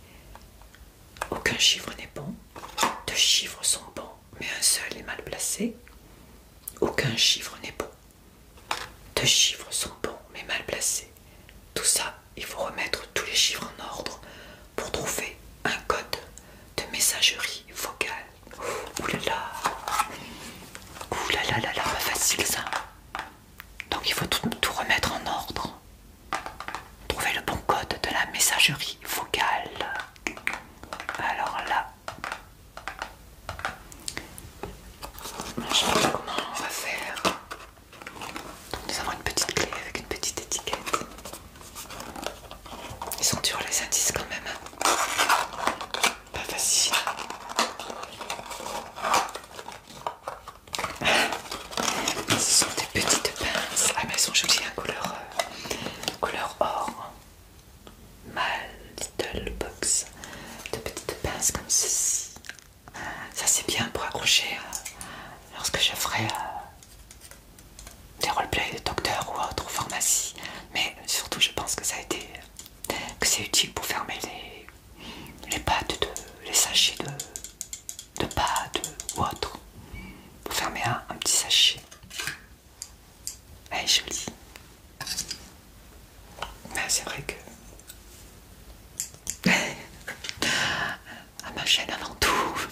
Aucun chiffre n'est bon. Deux chiffres sont bons, mais un seul est mal placé. Aucun chiffre n'est bon. Deux chiffres sont bons mais mal placés. Tout ça, il faut remettre tous les chiffres en ordre pour trouver un code de messagerie vocale. Ouh là là Ouh là là là là, pas facile ça. Donc il faut tout, tout remettre en ordre. Trouver le bon code de la messagerie vocale. Alors là, je sais pas comment on va faire. nous avons une petite clé avec une petite étiquette. Ils sont durs les indices quand même. Pas facile. Ce sont des petites pinces. Ah, elles sont jolies, à hein, couleur, euh, couleur or ma little box de petites pinces comme ceci. Ça c'est bien pour accrocher euh, lorsque je ferai euh, des roleplays de docteur ou autre pharmacie. Mais surtout je pense que ça a été que c'est utile pour fermer les, les pâtes, de, les sachets de, de pâtes ou autre. Pour fermer un, un petit sachet. Elle est jolie c'est vrai que... <laughs> à ma chaîne avant tout.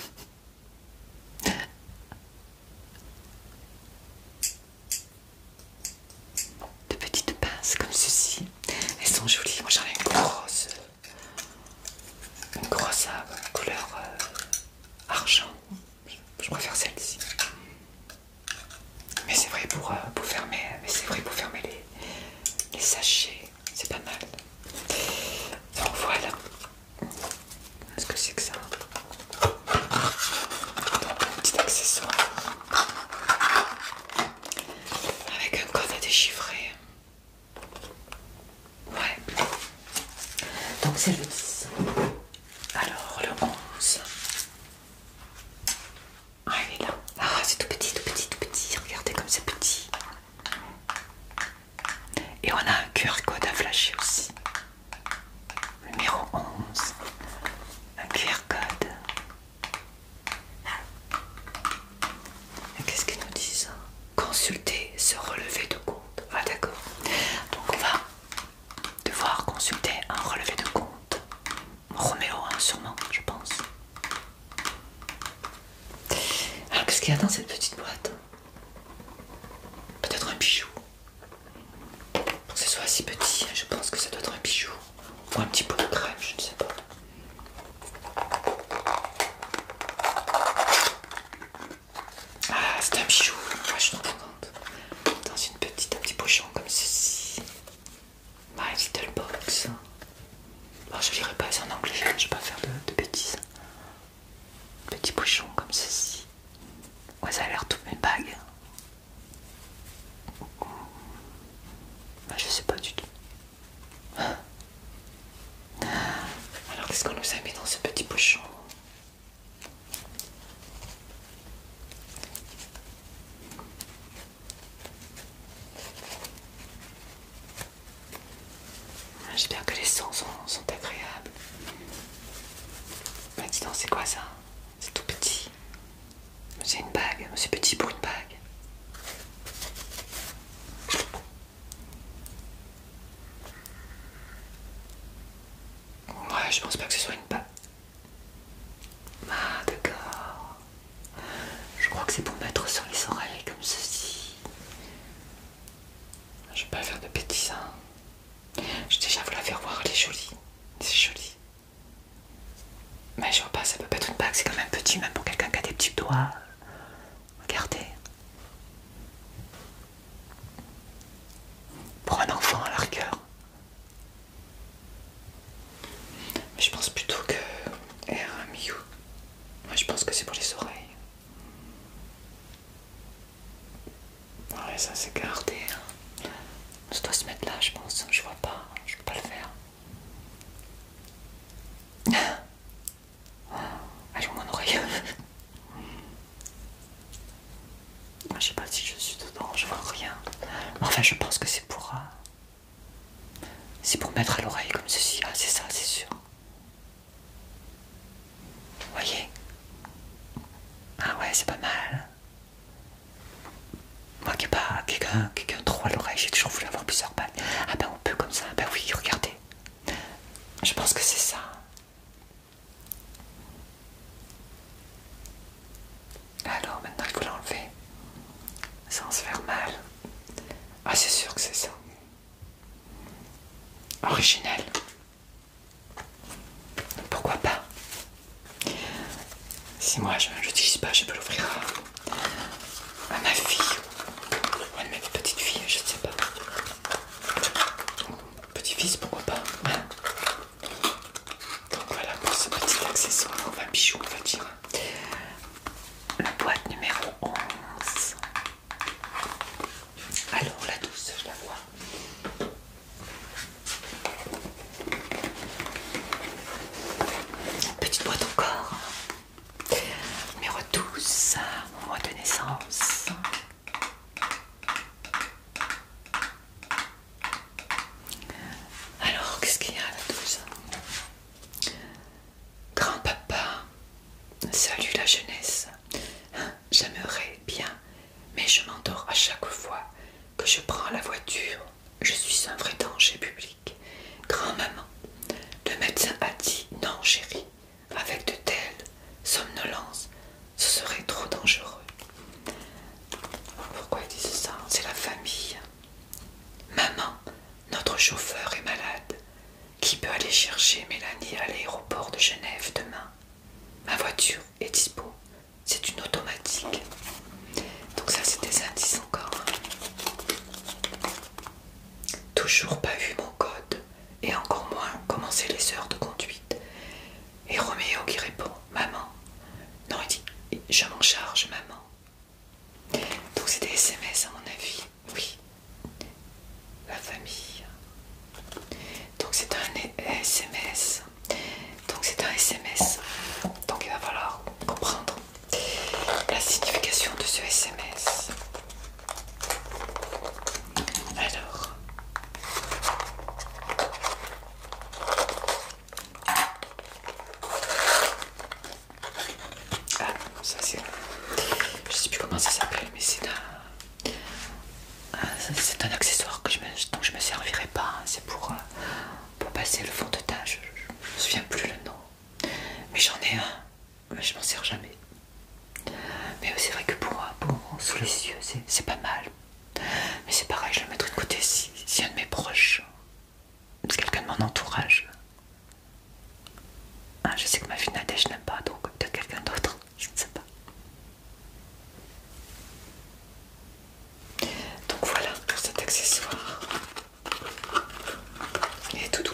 De petites pinces comme ceci. Elles sont jolies. Moi j'en ai une grosse. Une grosse euh, couleur euh, argent. Je préfère celle-ci. Euh, mais c'est vrai pour, fermer, les, sachets, c'est pas mal. Donc voilà. Qu'est-ce que c'est que ça un petit accessoire avec un code à déchiffrer. Ouais. Donc c'est le 10. Alors le 11. Ah, il est là. Ah, c'est tout petit, tout petit, tout petit. Regardez comme c'est petit. Et on a un QR code à flasher aussi. Numéro 11. Un QR code. Qu'est-ce qu'ils nous disent hein Consulter ce relevé de compte. Ah d'accord. Donc on va devoir consulter un relevé de compte Roméo, hein, sûrement, je pense. Alors, qu'est-ce qu'il y a dans cette petite boîte Peut-être un bijou. Pour que ce soit si petit, hein, je pense que ça doit être un bijou. Ou un petit pot de crème, je ne sais pas. Ah, c'est un bijou. je suis trop contente. Dans une petite, un petit pochon comme ceci. My Little Box. Alors oh, je dirais pas c'est en anglais, je vais pas faire de, bêtises. Petit bouchon comme ceci. Ouais, ça a l'air toutes mes bagues. Bah, je sais pas du tout. Alors, qu'est-ce qu'on nous a mis dans ce petit bouchon ah, j'espère que les sons sont, agréables. Mais bah, c'est quoi ça C'est tout petit. C'est une bague, c'est petit pour une bague. Ouais, je pense pas que ce soit une bague. Ah d'accord. Je crois que c'est pour mettre sur les oreilles comme ceci. Je vais pas faire de bêtises. J'ai hein. Je déjà vous la faire voir, elle est jolie. C'est joli. Mais je vois pas, ça peut pas être une bague, c'est quand même petit, même pour quelqu'un qui a des petits doigts. Regardez. Pour un enfant à rigueur mais je pense plutôt que Air Moi je pense que c'est pour les oreilles. Ouais, ça c'est gardé. Hein. Ça doit se mettre là, je pense. Je vois pas, hein. je peux pas le faire. Ah, mon oreille. Ah, je sais pas si je suis dedans, je vois rien. Enfin, je pense que c'est pour. Euh, c'est pour mettre à l'oreille comme ceci. Ah, c'est ça, c'est sûr. Voyez Ah ouais, c'est pas mal. Moi qui n'ai pas quelqu'un quelqu'un trop à l'oreille, j'ai toujours voulu avoir plusieurs pattes. Ah ben on peut comme ça, ben oui, regardez. Je pense que c'est ça. Alors maintenant il faut l'enlever sans se faire mal. Ah c'est sûr que c'est ça. Original. Pourquoi pas Si moi je ne l'utilise pas, je peux l'offrir à, ma fille. Ou à ma petite fille, je ne sais pas. Petit-fils, pourquoi pas hein? donc voilà pour ce petit accessoire, va bijou on va dire. La boîte numéro 11. Alors la douce, je la vois. Petite boîte encore. Numéro 12, mon de naissance. Alors, qu'est-ce qu'il y a à la Grand-papa, salut la jeunesse. J'aimerais bien, mais je m'endors à chaque fois que je prends la voiture. Je suis un vrai danger public. Grand-maman, le médecin a dit non, chérie, avec de telles somnolences, ce serait trop dangereux. Pourquoi il dit ça C'est la famille. Maman, notre chauffeur est malade. Qui peut aller chercher Mélanie à l'aéroport de Genève demain Ma voiture est dispo. C'est une automatique. Donc ça c'est des indices encore. Hein. Toujours pas vu mon code. Et encore moins commencé les heures de conduite. Et Roméo qui répond, maman. Non, il dit, je m'en charge, maman. Donc c'est des SMS à mon avis, oui. La famille. Donc c'est un SMS. Donc c'est un SMS. Donc il va falloir comprendre la signification de ce SMS. Alors. Ah, ça c'est. Je sais plus comment ça s'appelle, mais c'est un. C'est un accessoire que je ne je me servirai pas. Hein. C'est pour, euh, pour passer le fond de teint. Je, ne me souviens plus le nom. Mais j'en ai un. Mais je m'en sers jamais. Mais c'est vrai que pour, pour sous les yeux, c'est pas mal. Mais c'est pareil, je le mettrai de côté si, si un de mes proches c'est quelqu'un de mon entourage. Ah, je sais que ma fille Nadège n'aime pas, donc peut-être quelqu'un d'autre, <laughs> je ne sais pas. Donc voilà pour cet accessoire. Il est tout doux.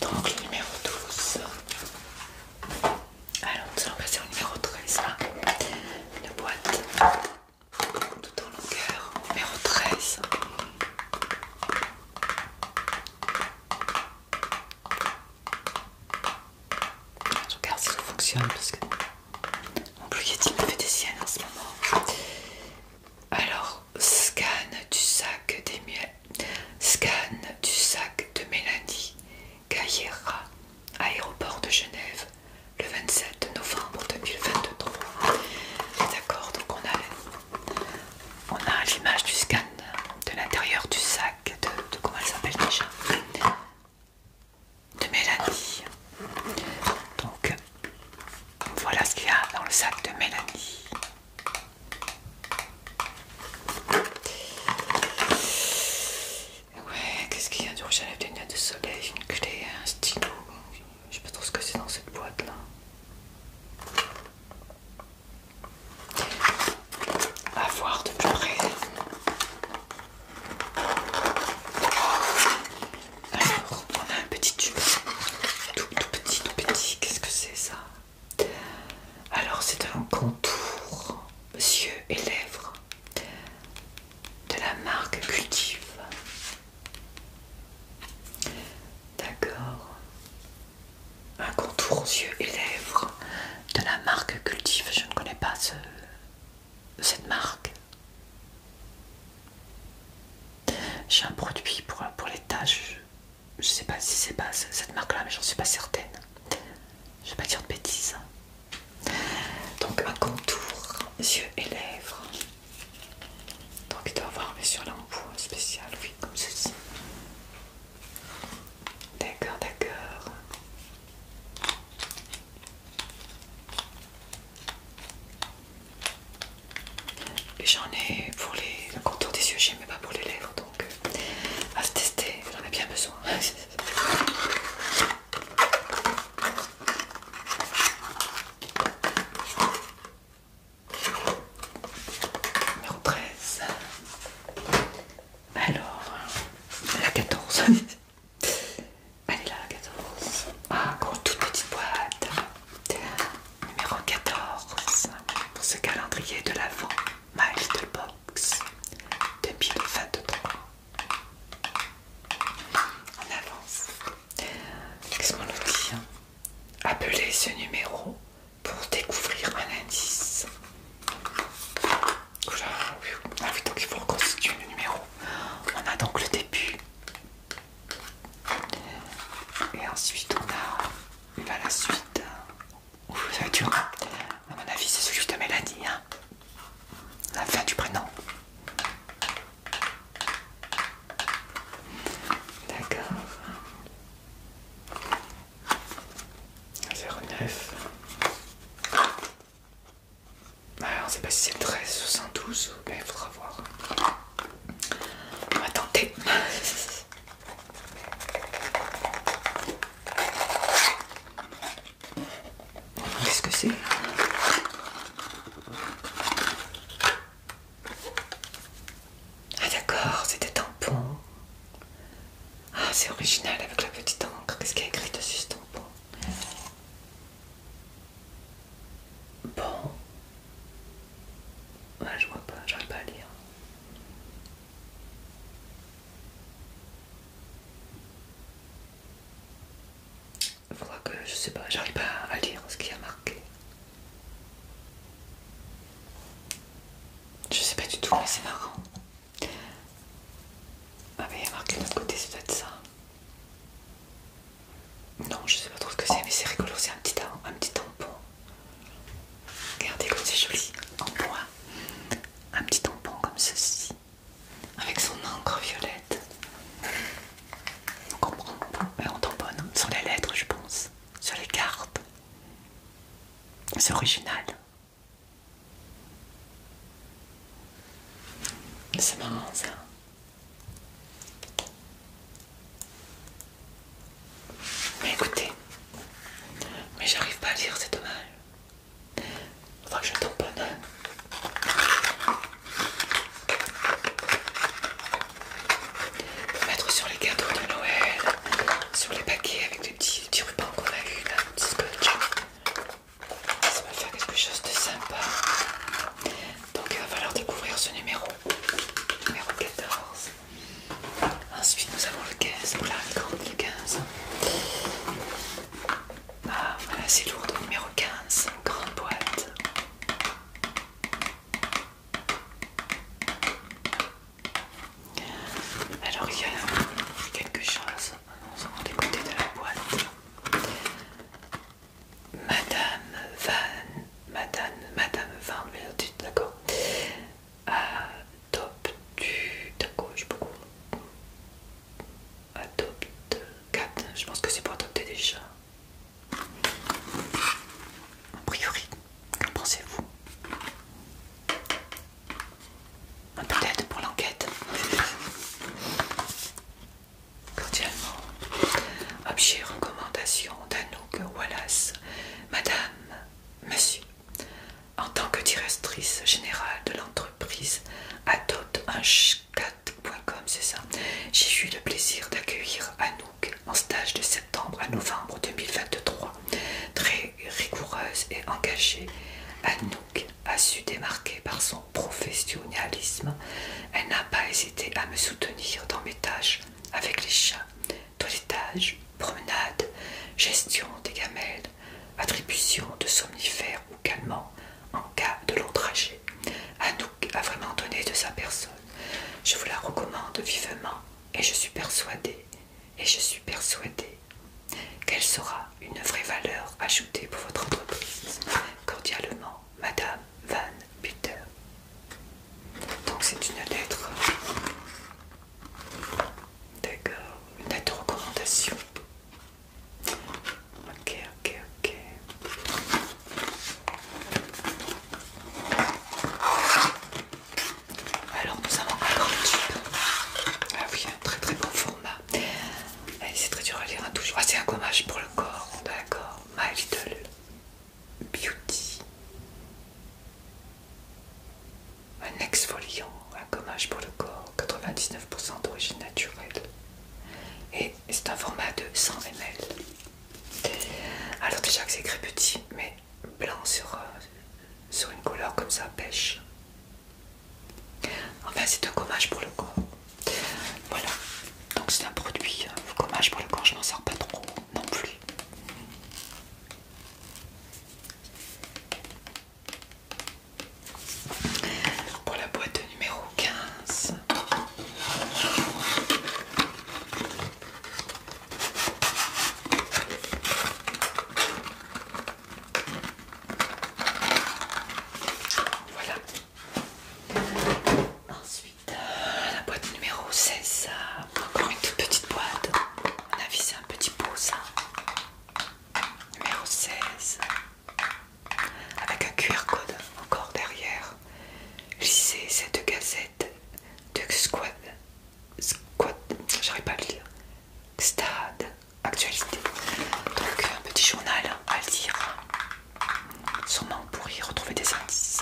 Donc le numéro 12. Alors nous allons passer au numéro 13 là. Une boîte tout en longueur, numéro 13. Je regarde si ça fonctionne parce que mon il me fait des siennes en ce moment. Alors, scan du sac des Scan du sac de Mélanie à aéroport de Genève, le 27 novembre 2023. D'accord, donc on a, l'image du scan de l'intérieur du sac de, de comment elle s'appelle déjà de Mélanie. Donc voilà ce qu'il y a dans le sac de Mélanie. Ouais, qu'est-ce qu'il y a du rouge à lèvres, des lunettes de soleil, une clé, un stylo. Je sais pas trop ce que c'est dans cette boîte là. À voir de plus près. Alors, on a un petit tube. tout petit, tout petit. Qu'est-ce que c'est ça Alors, c'est un contour yeux et lèvres de la marque Cultive. D'accord. Un contour yeux et lèvres de la marque Cultive. Je ne connais pas ce, cette marque. J'ai un produit pour, pour les taches Je ne sais pas si c'est pas cette marque-là, mais j'en suis pas certaine. Je vais pas dire de bêtises. Donc un contour, yeux et lèvres. Donc il doit avoir mais sur l'embout spécial, oui, comme ceci. D'accord, d'accord. J'en ai pour les, le contour des yeux, mais pas pour les lèvres, donc euh, à se tester, en a bien besoin. <laughs> Numéro 13. Alors, la 14. <laughs> Elle est là, la 14. Ah, encore toute petite boîte. Numéro 14. Pour ce calendrier de l'avant, My little Box 2023. On avance. Qu'est-ce qu'on Appelez ce numéro pour découvrir un indice. Ah donc il faut reconstituer le numéro. On a donc le début. Et ensuite, on a la suite. Ouh, ça va hein. À mon avis, c'est celui de Mélanie. Hein la fin du prénom. D'accord. 09. Alors, on sait pas si c'est 13 ou 112, il faudra voir. On va tenter. <laughs> Qu'est-ce que c'est Ah d'accord, c'était tampon. Ah c'est original avec la petite encre. Qu'est-ce qu'il y a écrit dessus ce tampon Bon. Ah je vois pas, j'arrive pas à lire faudra que je sais pas, j'arrive pas à lire ce qu'il y a marqué. Je sais pas du tout, mais c'est marrant. Ah, mais il y a marqué de l'autre côté, c'est peut-être ça. Non, je sais pas trop ce que c'est, mais c'est rigolo, c'est un petit, un petit tampon. Regardez comme c'est joli, en bois. Un petit tampon comme ceci avec son encre violette. On comprend, mais euh, on tombe sur les lettres, je pense, sur les cartes. C'est original. C'est marrant ça. Mais écoutez, mais j'arrive pas à lire, c'est dommage. Faudra que je tamponne. Pour mettre sur les cadeaux de Noël, sur les paquets avec des petits, rubans qu'on a eu là, petit scotch. Ça va faire quelque chose de sympa. Donc il va falloir découvrir ce numéro. Numéro 14. Ensuite nous avons le 15. Voilà, le 15. Ah, voilà, c'est lourd, numéro 15, grande boîte. Alors, il y a quelque chose des côtés de la boîte. Madame Van, Madame, Madame Van, d'accord. Ah, top du, d'accord, gauche, beaucoup. Adopte 4. Je pense que c'est pour adopter déjà. A priori, qu'en pensez-vous Peut-être pour l'enquête. Cordialement. Objet recommandation d'Anouk Wallace. Madame, monsieur, en tant que directrice générale de l'entreprise, adopte un, c'est J'ai eu le plaisir d'accueillir Anouk en stage de septembre à novembre 2023. Très rigoureuse et engagée, Anouk a su démarquer par son professionnalisme. Elle n'a pas hésité à me soutenir dans mes tâches avec les chats, toilettage, promenade, gestion des gamelles, attribution de somnifères ou calmants, en cas de long trajet. nous a vraiment donné de sa personne. Je vous la recommande vivement et je suis persuadée, et je suis persuadée qu'elle sera une vraie valeur ajoutée pour votre entreprise. Cordialement, Madame Van Buter. Donc c'est une lettre. D'accord, une lettre de recommandation. Ok, ok, ok. Alors nous avons un grand Ah oui, un très très bon format. C'est très dur à lire un hein, Ah, c'est un gommage pour le corps, d'accord. My Little Beauty. Un exfoliant, un gommage pour le corps, 99% d'origine naturelle. Et c'est un format de 100 ml. Alors déjà que c'est écrit petit, mais blanc sur, euh, sur une couleur comme ça, pêche. Enfin c'est un gommage pour le corps. Voilà, donc c'est un produit, euh, gommage pour le corps, je n'en sors pas trop non plus pour la boîte numéro 15. Voilà. Ensuite, euh, la boîte numéro 16. Euh, encore une toute petite boîte. On a visé un petit pot, ça. Numéro 16 avec un QR code encore derrière. Lisez cette gazette de Squad. Squad. J'arrive pas à le lire. Stade. Actualité. Donc un petit journal à lire. Sûrement pour y retrouver des indices.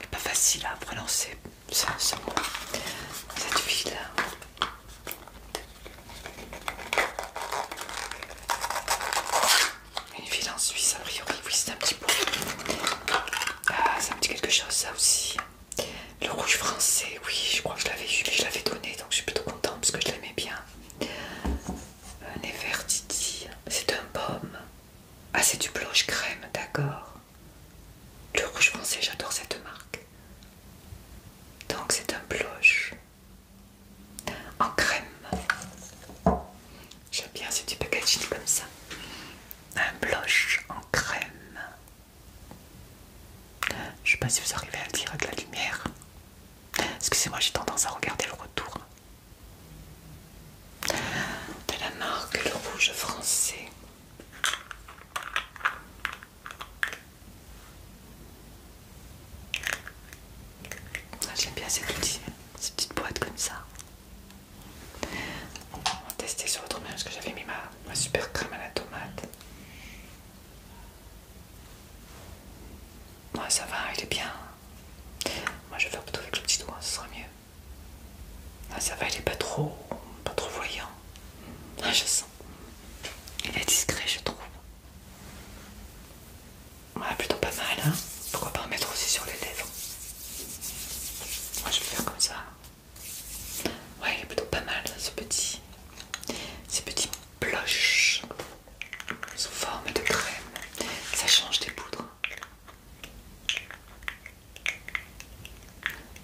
C'est pas facile à prononcer ça, ce Cette ville une ville en Suisse, a priori, oui, c'est un petit peu. Ah, ça me dit quelque chose, ça aussi. Le rouge français, oui, je crois que je l'avais eu, je l'avais donné, donc je suis plutôt contente parce que je l'aimais bien. Un euh, Nefertiti, c'est un baume. Ah, c'est du blush crème, d'accord. Le rouge français, j'adore cette marque. Donc c'est un blush en crème. J'aime bien ce petit packaging comme ça. Un blush en crème. Je sais pas si vous arrivez à le dire avec la lumière. Excusez-moi, j'ai tendance à regarder le retour. De la marque le rouge français. Ah, j'aime bien ces, petites boîtes comme ça. On va tester sur l'autre main parce que j'avais mis ma, super crème à la tomate. Ouais, ça va, il est bien. Moi, je vais faire plutôt avec le petit doigt, ce sera mieux. Ah, ça va, il est pas trop, pas trop voyant. Ah, je sens. Il est discret, je trouve. Ouais, plutôt pas mal, hein. Pourquoi pas en mettre aussi sur les lèvres Moi je vais faire comme ça. Ouais, il est plutôt pas mal ce petit. Ces petits blushs sous forme de crème. Ça change des poudres.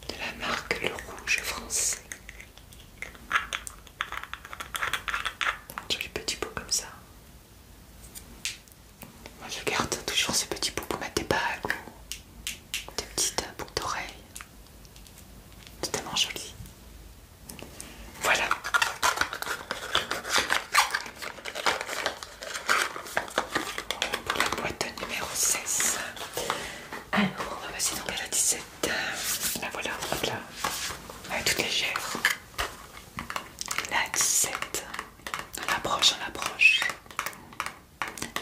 De la marque Le Rouge Français. Joli petit pot comme ça. Moi je garde toujours ce petit pot pour mettre des bagues, des petites euh, boucles d'oreilles. C'est tellement joli. Voilà. Pour la boîte numéro 16. Alors on va passer donc à la 17. La euh, ben voilà, là. Elle est toute légère. La 17. On approche, on approche.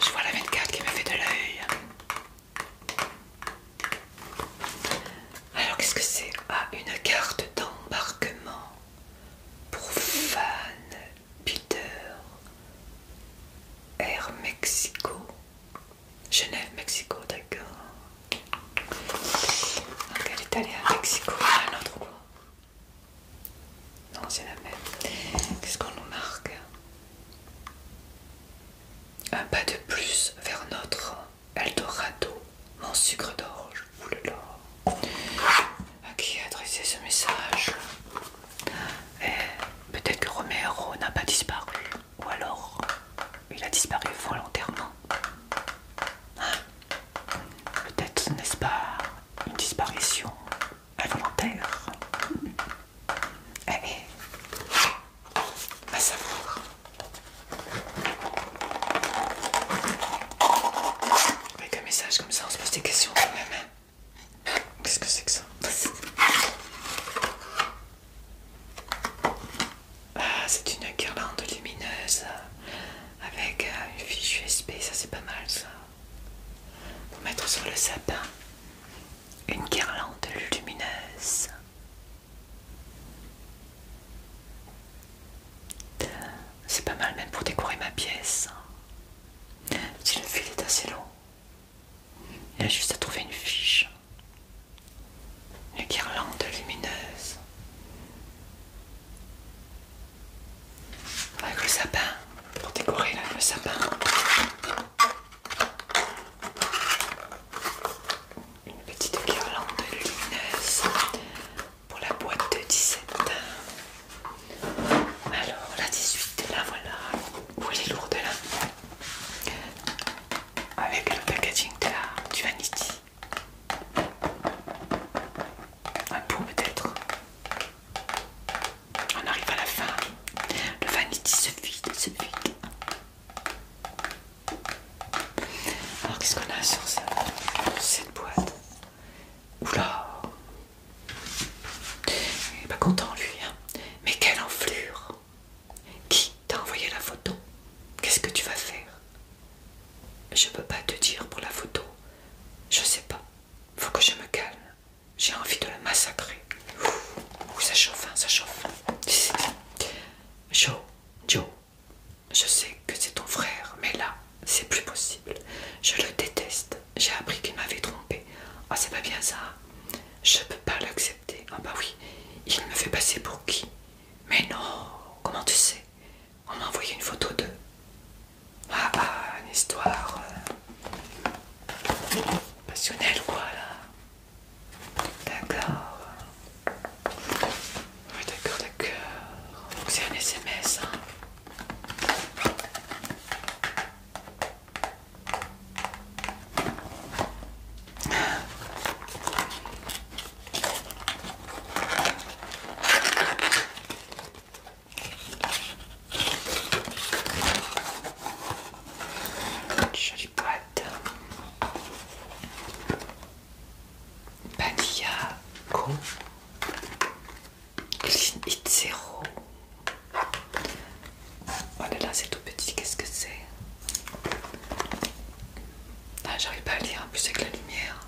Je vois la carte qui me fait de l'œil. Alors qu'est-ce que c'est Ah, une carte d'embarquement pour Van Peter Air Mexico. Genève, Mexico, d'accord. Donc elle est allée à Mexico, à notre quoi. Non, c'est la même. Qu'est-ce qu'on nous marque Un pas de plus vers notre Eldorado, mon sucre d'orge, oulala. À qui adressé ce message eh, Peut-être que Romero n'a pas disparu ou alors il a disparu volontairement. Ah, peut-être n'est-ce pas une disparition involontaire eh, eh, à savoir. Avec un message comme ça, on se pose des questions quand même. Hein. Qu'est-ce que c'est que ça ah, c'est une guirlande lumineuse avec euh, une fiche USB, ça c'est pas mal ça. Pour mettre sur le sapin une guirlande lumineuse. C'est pas mal même pour décorer ma pièce. Hein. Si le fil est assez long, il a juste à trouver une fiche. Une guirlande lumineuse avec le sapin, pour décorer le sapin. Une petite guirlande lumineuse pour la boîte de 17. Alors la 18, la voilà. Pour les lourdes lourde là Avec le packaging de la, du Vanity. Un pot peut-être. On arrive à la fin. Le vanity se vide, se vide. Alors qu'est-ce qu'on a sur cette, boîte Oula Il n'est pas content lui. Hein. Mais quelle enflure Qui T'as envoyé la photo. Qu'est-ce que tu vas faire Je peux pas te dire pour la photo. Je sais pas. Faut que je me calme. J'ai envie de le massacrer. Ouh, ça chauffe, hein, ça chauffe. Joe, Joe, je sais que c'est ton frère, mais là, c'est plus possible. Je le déteste. J'ai appris qu'il m'avait trompé. Ah, c'est pas bien ça. Hein je peux pas l'accepter. Ah, bah oui, il me fait passer pour qui Mais non, comment tu sais on m'a envoyé une photo de... Ah ah, une histoire... Euh, passionnelle quoi là. D'accord. Oui d'accord, d'accord. Donc c'est un SMS. Hein. Une jolie boîte. de. Co. Clean It Zero. Oh là, c'est tout petit, qu'est-ce que c'est bah, j'arrive pas à lire en plus avec la lumière.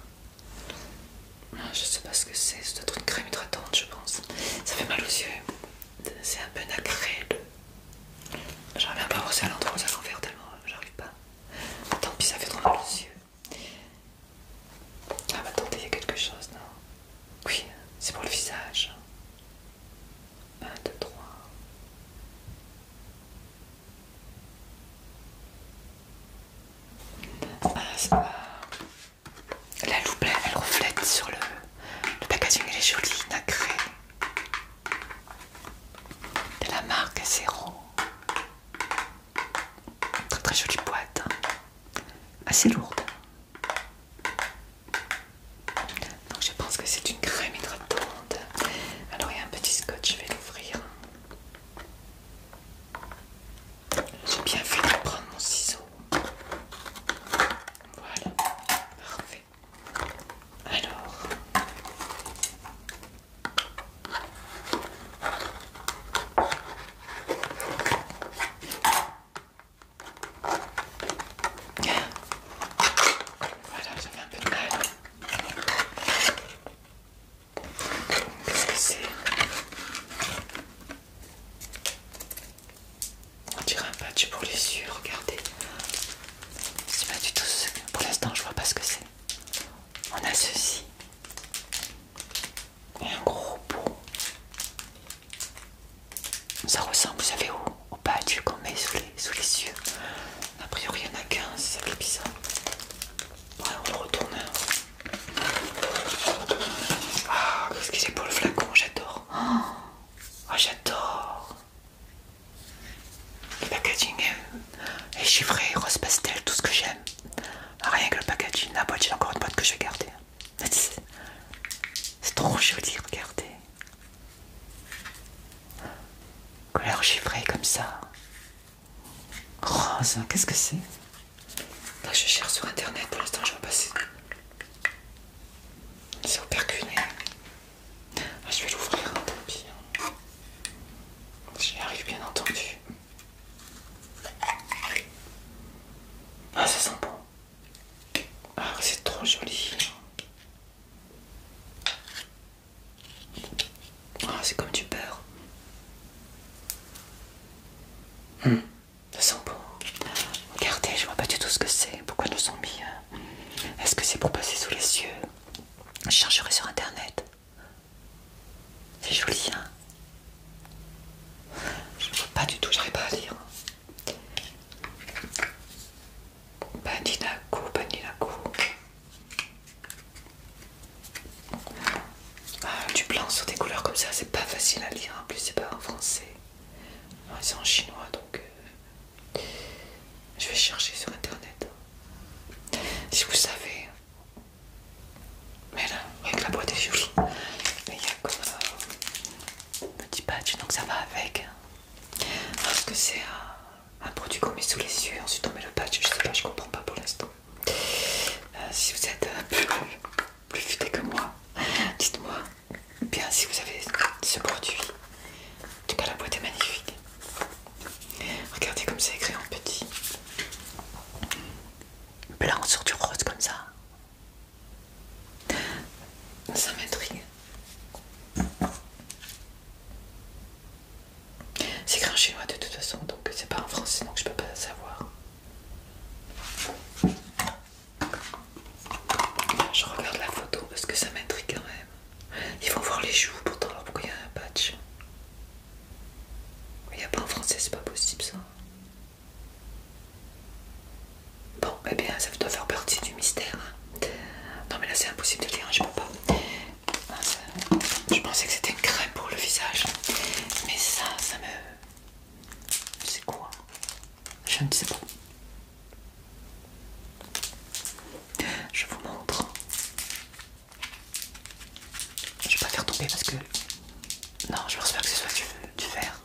Ah, je sais pas ce que c'est, c'est truc crème hydratante, je pense. Ça fait mal aux yeux, c'est un peu nacré. J'arrive bien pas voir ça à l'endroit où ça s'enferme tellement, euh, j'arrive pas. Bah, tant pis, ça fait trop mal aux yeux. Ah, bah attendez, il y a quelque chose, non Oui, c'est pour le visage. 1, 2, 3. Ah, la loupe, elle reflète sur le, le packaging, elle est jolie, nacrée. De la marque Zero, Très très jolie boîte, hein. assez lourde. Donc je pense que c'est une crème hydratante. Alors il y a un petit scotch, je vais l'ouvrir. J'ai bien fait de prendre mon ciseau. Voilà, parfait. Alors. Voilà, j'avais un peu de mal. Qu'est-ce que c'est On dirait un patch pour les yeux, regardez. C'est pas du tout ce Pour l'instant, je vois pas ce que c'est. On a ceci. Et un gros pot. Ça ressemble, vous savez, au, au patch qu'on met sous les, sous les yeux. A priori, il n'y en a qu'un, c'est ça bizarre on le retourne. Ah, qu'est-ce y a pour le flacon, j'adore. Ah, j'adore. Le packaging est chiffré, rose pastel, tout ce que j'aime. Ah, rien que le packaging. La boîte, j'ai encore une boîte que je vais garder. C'est trop joli, regardez. Couleur chiffrée comme ça. Oh ça qu'est-ce que c'est Là, je cherche sur internet. Pour l'instant, je vais passer. C'est au percuné. Ah, je vais l'ouvrir, hein, tant pis. Hein. J'y arrive, bien entendu. Ah, ça sent bon. Ah, c'est trop joli. Ah, c'est comme du beurre. Nous hmm. ça sent bon. Regardez, je vois pas du tout ce que c'est. Pourquoi nous ont mis euh, Est-ce que c'est pour passer sous les yeux Je chercherai sur internet. C'est joli, hein Je vois pas du tout, j'arrive pas à lire. la Bandinako du ah, blanc sur des couleurs comme ça, c'est pas facile à lire. En plus, c'est pas en français, ah, c'est en chinois donc euh, je vais chercher sur internet. Si vous savez, mais là, avec la boîte est il y a comme euh, un petit patch donc ça va avec. Hein. Parce que c'est un un produit qu'on met sous les yeux, ensuite on met le patch, je sais pas, je comprends pas pour l'instant. Euh, si vous êtes un plus, plus futé que moi, dites-moi bien si vous avez ce produit. En tout cas, la boîte est magnifique. Regardez comme c'est écrit en petit. Blanc sur du rose comme ça. Ça m'intrigue. C'est grand chinois de toute façon, donc c'est pas en français, donc je peux pas savoir. Je regarde la photo parce que ça m'intrigue quand même. Ils vont voir les joues pourtant, alors pourquoi il y a un patch Il n'y a pas en français, c'est pas possible ça. Bon, eh bien, ça doit faire partie du mystère. Non, mais là c'est impossible de le dire, hein, je peux pas. Ah, je pensais que c'était une crème pour le visage, mais ça, ça me. C'est quoi Je ne sais pas. Je vous montre. Je vais pas faire tomber parce que. Non, je pense pas que ce soit tu du verre.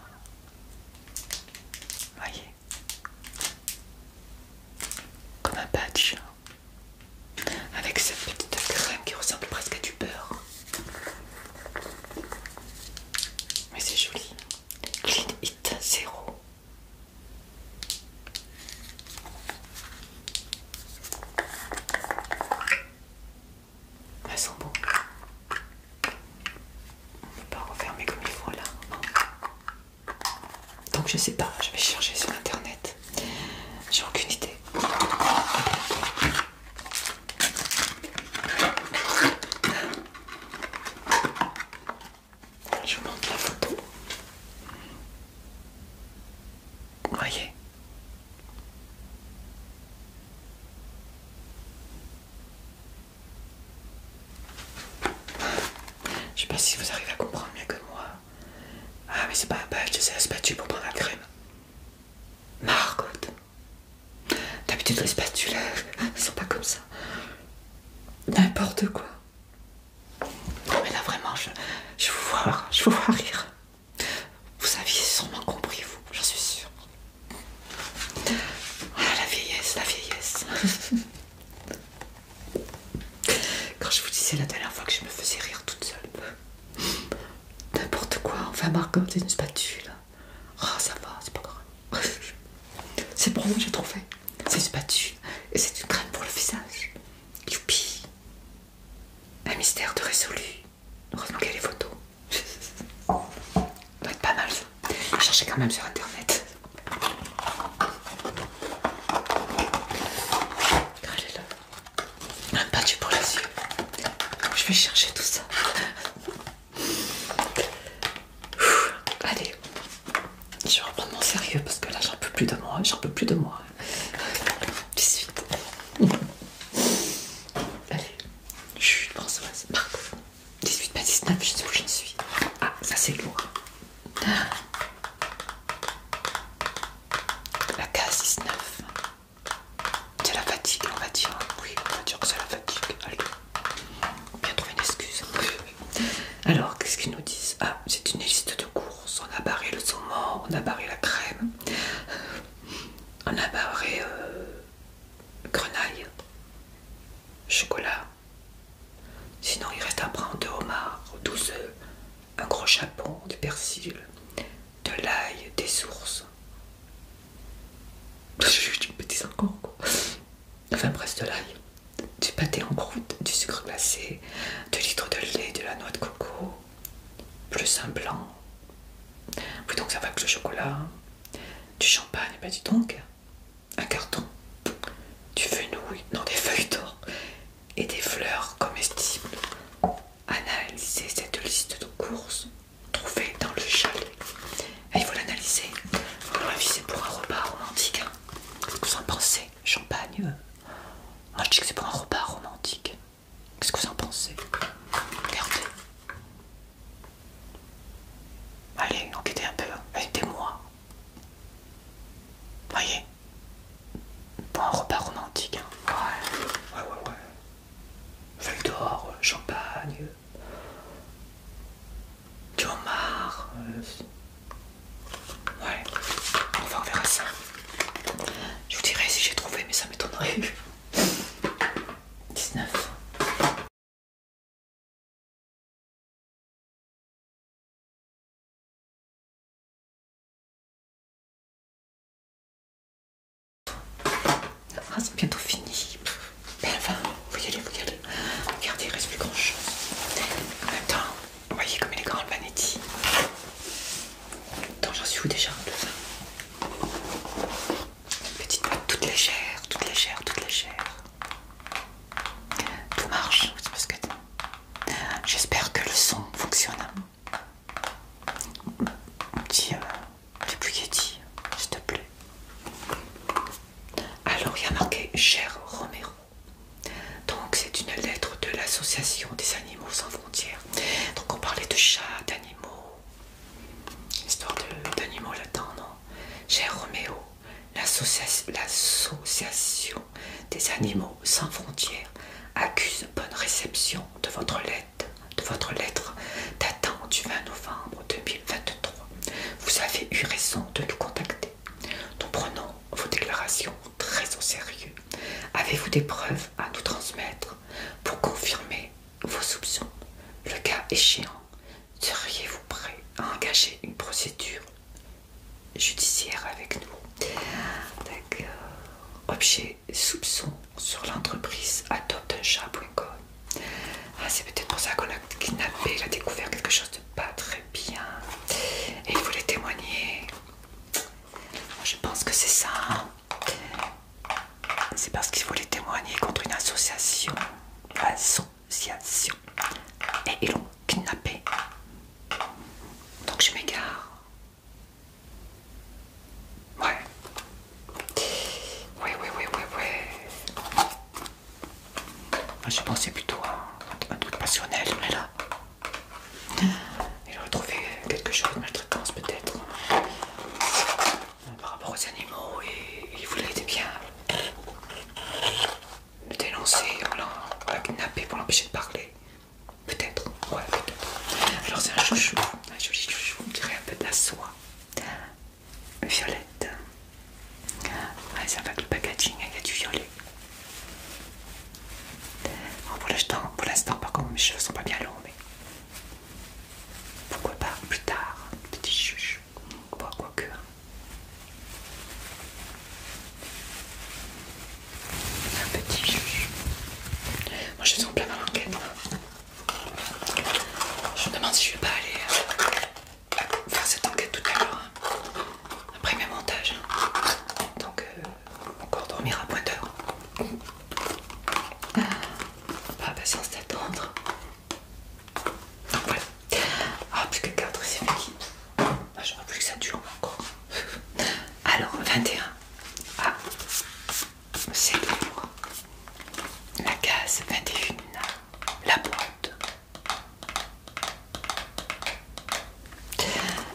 Voyez. Comme un patch avec cette petite crème qui ressemble presque à du beurre. Mais c'est joli. Clean It 0. Elles sont bonnes. On ne peut pas refermer comme il faut là. Donc je sais pas, je vais chercher sur internet. J'ai aucune idée. Je vous montre la photo. voyez Je sais pas si vous arrivez à comprendre mieux que moi. Ah, mais c'est pas un batch, c'est la spatule pour prendre la crème. Margot. D'habitude, les spatules, elles sont pas comme ça. N'importe quoi. Non, mais là, vraiment, je, vous vois, je vous vois rire. Vous aviez sûrement compris, vous, j'en suis sûre. Ah, la vieillesse, la vieillesse. <laughs> Quand je vous disais la dernière fois que je me faisais rire toute seule, N'importe quoi, enfin Margot, c'est une spatule. Ah ça va, c'est pas grave. <laughs> c'est pour moi, j'ai trouvé. C'est une spatule et c'est une crème pour le visage. Youpi Un mystère de résolu. Heureusement qu'il y a les photos. Ça doit être pas mal ça. vais chercher quand même sur internet. le un patch pour les yeux. Je vais chercher tout ça. allez, je vais reprendre mon sérieux parce que là j'en peux plus de moi. J'en peux plus de moi. 18. Allez, chut, Françoise, 18, pas 19, je sais où j'en suis. Ah, ça c'est lourd. La case 19. C'est la fatigue, on va dire. Oui, on va dire que c'est la fatigue. Allez, on va trouver une excuse. Alors, qu'est-ce qu'ils nous disent Ah, c'est une liste de courses. On a barré le saumon, on a barré la crème, on a barré euh, grenaille, chocolat. Sinon, il reste à prendre de homard, douze un gros chapon, du persil, de l'ail, des sources. Juste une petite encore Enfin presque de l'ail, du pâté en croûte, du sucre glacé, 2 litres de lait, de la noix de coco, plus un blanc. Plutôt donc ça va que le chocolat, hein. du champagne, bah dis donc, un carton, du fenouil, non des feuilles d'or et des fleurs comestibles. Analysez cette liste de courses trouvée dans le chalet. Et il faut l'analyser, vous pour un repas romantique. Hein. Qu'est-ce que vous en pensez Champagne Moi je dis que c'est pour un repas romantique. Qu'est-ce que vous en pensez Regardez. Allez, enquêtez un peu, hein. aidez-moi. Voyez, pour un repas romantique. Hein. Ouais, ouais, ouais. ouais. feuille d'or, euh, champagne, du euh, ouais. On Ouais, en on verra ça. Je vous dirai si j'ai trouvé, mais ça m'étonnerait. 19 phrase ah, est bientôt fini. Mais ben, enfin, vous y allez, vous Regardez, il reste plus grand chose. En même temps, vous voyez comme il est grand le manetti. Attends, j'en suis où déjà tout ça Petite note toute légère, toute légère, toute légère. Tout marche, parce que c'est J'espère que le son fonctionne tiens euh, te plaît. Alors, il y a marqué Cher Romero. Donc, c'est une lettre de l'association des animaux sans frontières. Donc, on parlait de chats, d'animaux, histoire d'animaux là-dedans, non Cher Roméo, l'association des animaux sans frontières accuse bonne réception de votre lettre de votre lettre datant du 20 novembre 2023. Vous avez eu raison de nous contacter. Nous prenons vos déclarations très au sérieux. Avez-vous des preuves à nous transmettre pour confirmer vos soupçons Le cas échéant, seriez-vous prêt à engager une procédure judiciaire avec nous D'accord soupçons sur l'entreprise adopteunchat.com ah, c'est peut-être pour ça qu'on a kidnappé, il a découvert quelque chose de pas très bien et il voulait témoigner. Je pense que c'est ça. Hein. C'est parce qu'il voulait témoigner contre une association. Association. Et ils l'ont kidnappé. Donc je m'égare. Ouais. Ouais, ouais, ouais, ouais, j'ai pensé plutôt à un, truc passionnel, mais là. Il a retrouvé quelque chose de maltraitance, peut-être. Par rapport aux animaux, et il voulait bien le dénoncer, on l'a kidnappé pour l'empêcher de parler. Peut-être, ouais, peut-être. Alors, c'est un chouchou, un joli chouchou, on dirait un peu de la soie violette. Ouais, ça va le packaging, il y a du violet. pour l'instant, par contre, mes cheveux sont pas bien longs, mais pourquoi pas plus tard, petit chouchou, quoi, quoique que. Hein. Un petit chouchou. Moi je suis en plein dans l'enquête. Je me demande si je vais pas aller euh, faire cette enquête tout à l'heure, hein. après mes montages. Hein. Donc, euh, encore dormir à pointeur. d'heure. Pas pas patience d'attendre. Voilà. Ah, plus que 4, c'est fini. Ah, J'aurais plus que ça dure encore. Alors, 21. Ah, c'est pour la case 21, la boîte.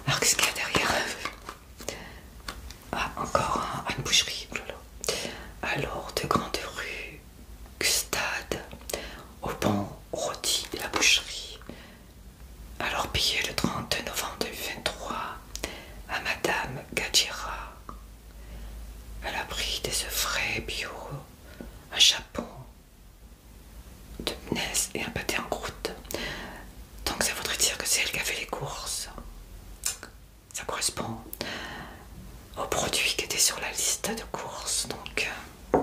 Alors qu'est-ce qu'il y a derrière Ah, encore une boucherie. Oh Alors, de grande rue, Gustade, au banc rôti, la boucherie. Alors, payé le 30 novembre 2023, à Madame Gadjira. Elle a pris des œufs frais bio, un chapon de menace et un pâté en croûte. Donc ça voudrait dire que c'est elle qui a fait les courses. Ça correspond aux produits qui étaient sur la liste de courses. Donc euh,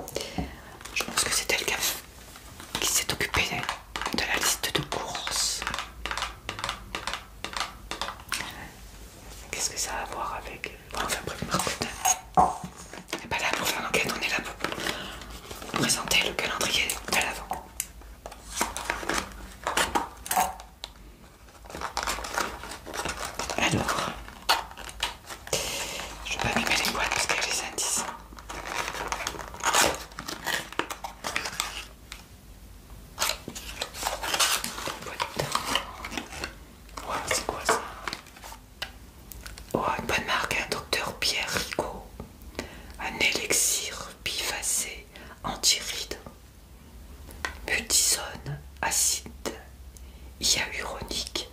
je pense que c'est elle qui, qui s'est occupée de la liste de courses. Qu'est-ce que ça a à voir avec... Euh, enfin bref, on hein. n'est pas là pour faire l'enquête, on est là pour présenter le calendrier de l'avant. Alors, je vais pas mettre les boîtes parce qu'il y a les indices c'est quoi ça oh, une bonne marque, un docteur Pierre Rigaud. Un élixir bifacé anti-rides. acide hyaluronique,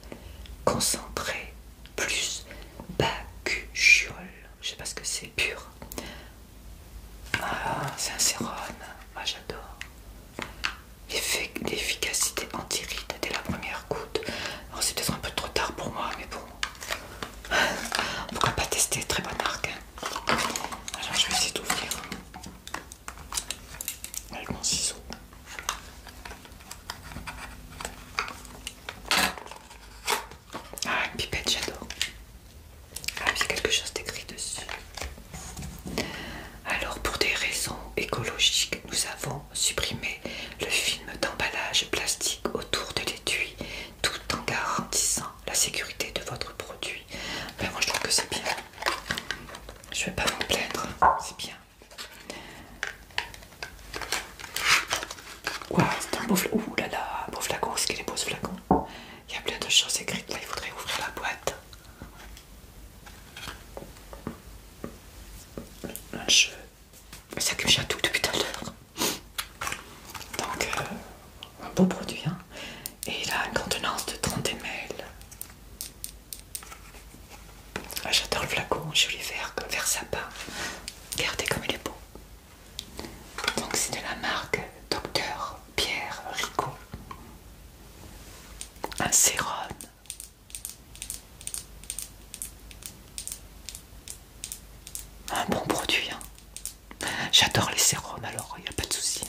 concentré, plus bacuchiol. Je sais pas ce que c'est, pur. Ah, c'est un sérone, Moi, j'adore. L'efficacité anti-ride dès la première goutte. Alors, c'est peut-être un peu trop tard pour moi, mais bon. Pourquoi pas tester Très bonne marque. Hein. Alors, je vais essayer d'ouvrir avec mon ciseau. Ah, une pipette, j'adore. Ah, a quelque chose d'écrit dessus. Alors, pour des raisons écologiques, nous avons supprimé le film d'emballage plastique autour de l'étui, tout en garantissant la sécurité de votre produit. Mais ben, moi, je trouve que c'est bien. Je vais pas vous plaindre, c'est bien. Quoi c'est un beau flacon. Ouh là là, beau flacon, est-ce qu'il est beau ce flacon il y a plein de choses écrites là, il faudrait ouvrir la boîte. Je ça que j'ai tout depuis tout à l'heure. Donc euh, un beau produit hein. Et il a une contenance de 30 ml. Ah, j'adore le flacon, joli vert, comme vert sapin. Regardez comme il est beau. Donc c'est de la marque Docteur Pierre Rico. Un sérum. Un bon produit. Hein. J'adore les sérums alors, il n'y a pas de souci.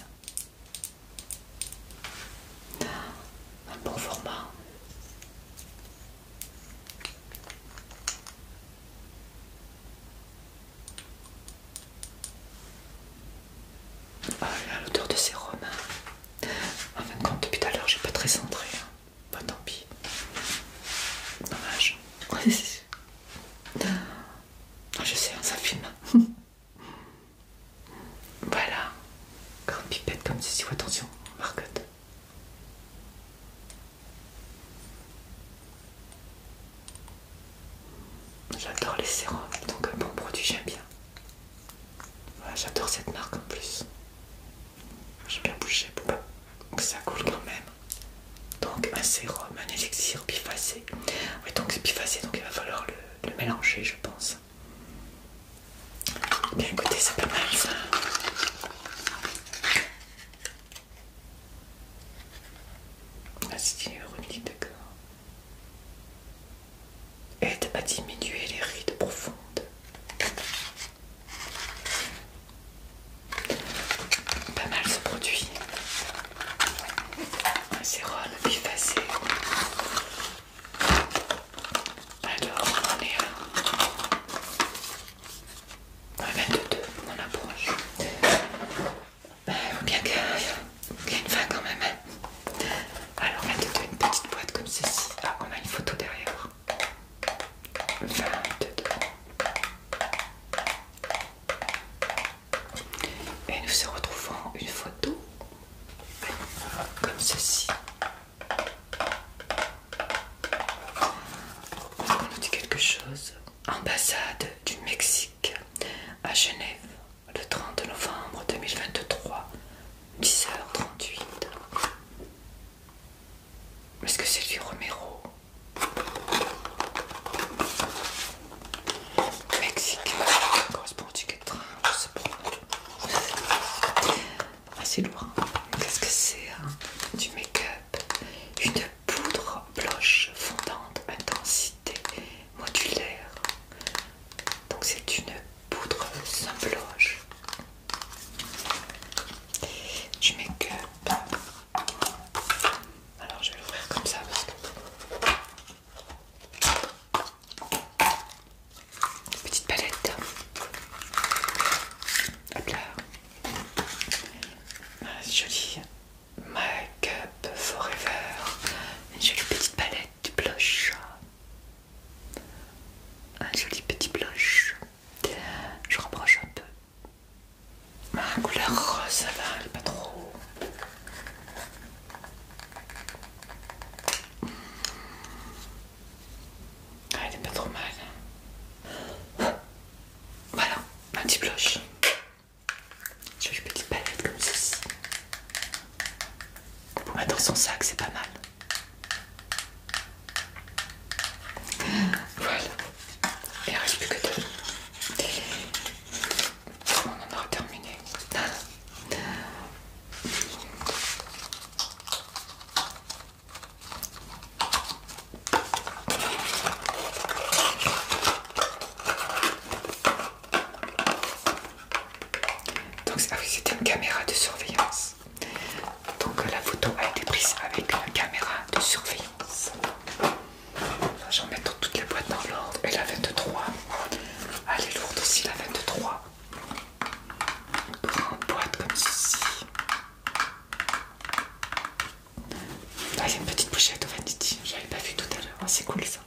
Hein. Un bon format. Oh l'odeur de sérum. romans. En fin de compte, depuis tout à l'heure, j'ai pas très centré. Pas hein. tant pis. Dommage. <laughs> Je sais, hein, ça filme. <laughs> voilà. Grand pipette comme ceci. Attention, Marcotte. J'adore les sérums, donc un bon produit, j'aime bien. Voilà, J'adore cette marque en plus. j'aime bien bouger, pour bah, Donc ça coule quand même. Donc un sérum, un élixir bifacé. Oui, donc c'est bifacé, donc il va falloir le, mélanger, je pense. Bien écoutez, ça peut mal ça. Ah si, d'accord. Aide à diminuer les rides profondes. Pas mal ce produit. Un sérum bifacé. Alors, on en est à 22, on approche. Bah, il faut bien qu'il y ait une fin quand même. Hein. Alors, on a une petite boîte comme ceci. Ah, on a une photo derrière. Et nous se retrouvons une photo comme ceci. Est-ce qu'on nous dit quelque chose Ambassade du Mexique à Genève, le 30 novembre 2023, 10h38. Est-ce que c'est du Romero Mexique, correspond au ticket de train, ah, c'est lourd. Hein. Qu'est-ce que c'est hein? Du make-up, une poudre blanche fondante intensité modulaire donc c'est une poudre sans blanche tu mets que. alors je vais l'ouvrir comme ça parce que Petite palette. Hop là. Ah, c'est joli make Up Forever, une jolie petite palette du blush, un joli petit blush, je rapproche un peu, ma couleur rose ça elle est pas trop, ah, elle n'est pas trop mal, voilà un petit blush je une petite palette comme ceci. Pour mettre son sac, c'est pas mal. Voilà. Il reste que deux. On en aura terminé. Donc ah c'était une caméra de surveillance. Donc euh, la photo a été prise avec la caméra de surveillance. J'en mets dans toutes les boîtes dans l'ordre. Et la 23. Elle est lourde aussi la 23. Une grande boîte comme ceci. Ah, il y a une petite pochette au Vanity, j'avais pas vu tout à l'heure, oh, c'est cool ça.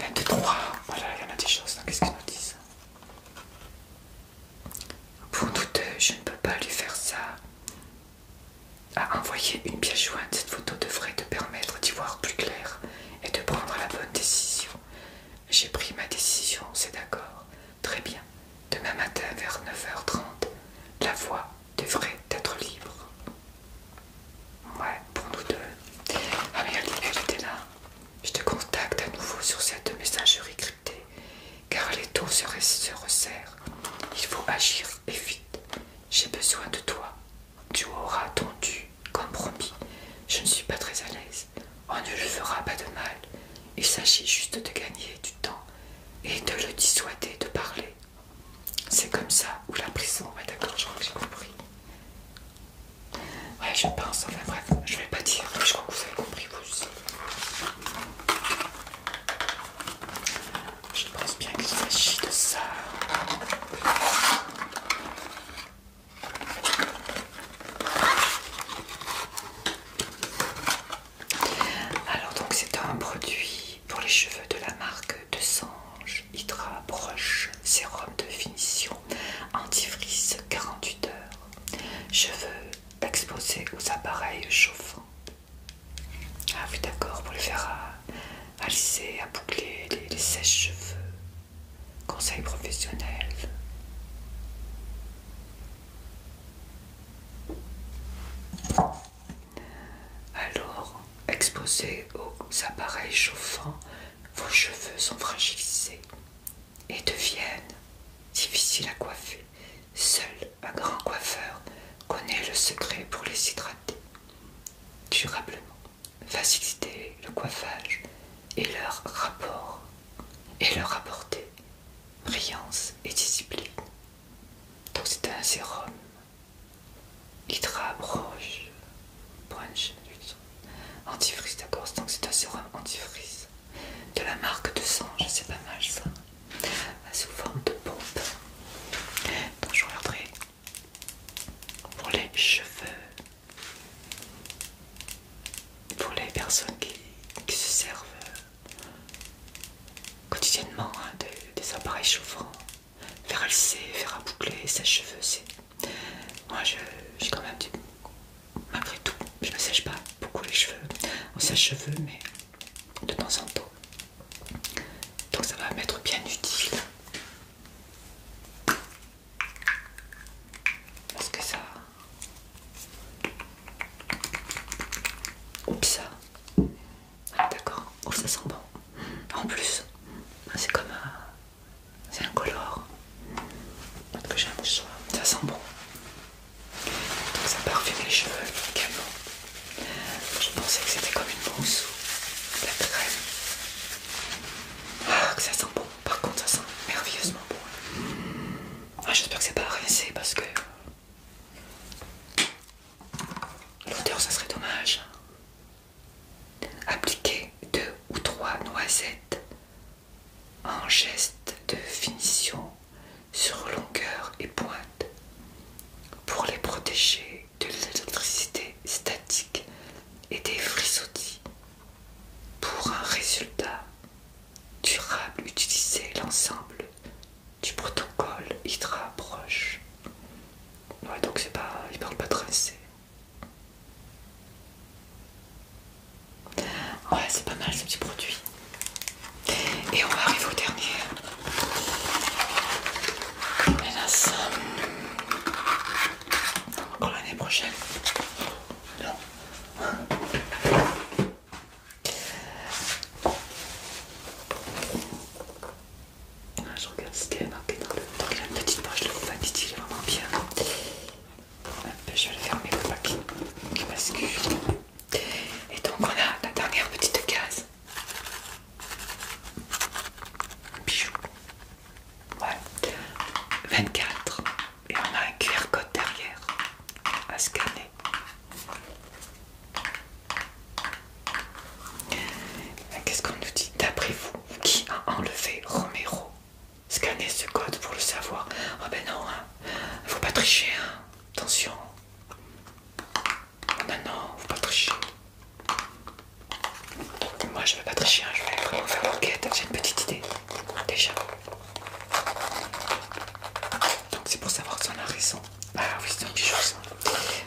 23. Voilà, il y en a des choses. Qu'est-ce qu'ils nous disent Pour douteux je ne peux pas lui faire ça. À envoyer une pièce jointe, cette photo devrait te permettre d'y voir plus clair et de prendre la bonne décision. J'ai pris ma décision, c'est d'accord. Très bien. Demain matin vers 9h30, la voix devrait être libre. Ouais, pour nous deux. Ah mais elle était là. Je te contacte à nouveau sur cette messagerie cryptée, car les tours se, resserrent. Il faut agir et vite. J'ai besoin de toi. Tu auras ton dû, comme promis. Je ne suis pas très à l'aise. On oh, ne lui fera pas de mal. Il s'agit juste de gagner du temps et de le dissuader de parler. C'est comme ça, ou la prison, ouais d'accord, je crois que j'ai compris. Ouais, je pense, enfin bref, je vais pas dire, mais je crois que vous avez compris vous aussi. Je pense bien qu'il s'agit de ça. Alors donc c'est un produit pour les cheveux de la marque De Sange Hydra Brush Sérum de finition antifrice 48 heures. Cheveux exposés aux appareils chauffants. Ah oui d'accord, pour les faire à, à lisser, à boucler, les, les sèches-cheveux. Conseil professionnel. Alors, exposés aux appareils chauffants, vos cheveux sont fragilisés et deviennent difficiles à coiffer. Seul un grand coiffeur connaît le secret pour les hydrater durablement, faciliter le coiffage et leur rapport et leur apporter brillance et discipline. Donc c'est un sérum Hydra Branche. Branche. Antifrice, d'accord. Donc c'est un sérum antifrice. De la marque de sang, c'est pas mal ça. Ah, sous forme de pompe. Donc je regarderai pour les cheveux. Pour les personnes qui, se servent euh, quotidiennement hein, des appareils chauffants Faire à lisser, faire à boucler, sèche-cheveux, c'est... Moi, j'ai quand même du... Malgré tout, je ne sèche pas beaucoup les cheveux. On sèche-cheveux, mais de temps en temps. Donc ça va m'être bien utile. Parce que ça... Oups ça. Ah, d'accord. Oh, ça sent bon. En plus, c'est comme un... Euh, c'est incolore. Peut-être que j'ai un Ça sent bon. Donc ça parfume les cheveux également. Je pensais que c'était comme une mousse ou de la crème. Ah, que ça sent bon. Par contre, ça sent merveilleusement bon. Ah, J'espère que c'est pas rincé parce que euh, l'odeur, ça serait dommage. Appliquez deux ou trois noisettes en geste de finition sur longueur et pointe pour les protéger de l'électricité statique et des frisottis. pour un résultat durable utilisez l'ensemble du protocole Hydra Proche. Ouais, donc c'est pas. Il parle pas de assez Ouais, c'est pas mal ce petit produit. Et on va arriver au dernier. Hélas. Encore l'année prochaine. Non. Je regarde si t'es marqué dans le. Donc il petite poche de vanity, il est vraiment bien. Euh, je vais le fermer pour pas qu'il bascule. Et donc on a la dernière petite case. Bijou. 24. Et on a un QR code derrière à scanner. Qu'est-ce qu'on nous dit D'après vous, qui a enlevé Romero Scannez ce code pour le savoir. Ah oh ben non, hein. faut pas tricher, hein. attention. Non, oh ben non, faut pas tricher. Moi je veux pas tricher, hein. je vais faire faire enquête j'ai une petite idée déjà. Donc c'est pour savoir si on a raison. Ah oui, c'est une petite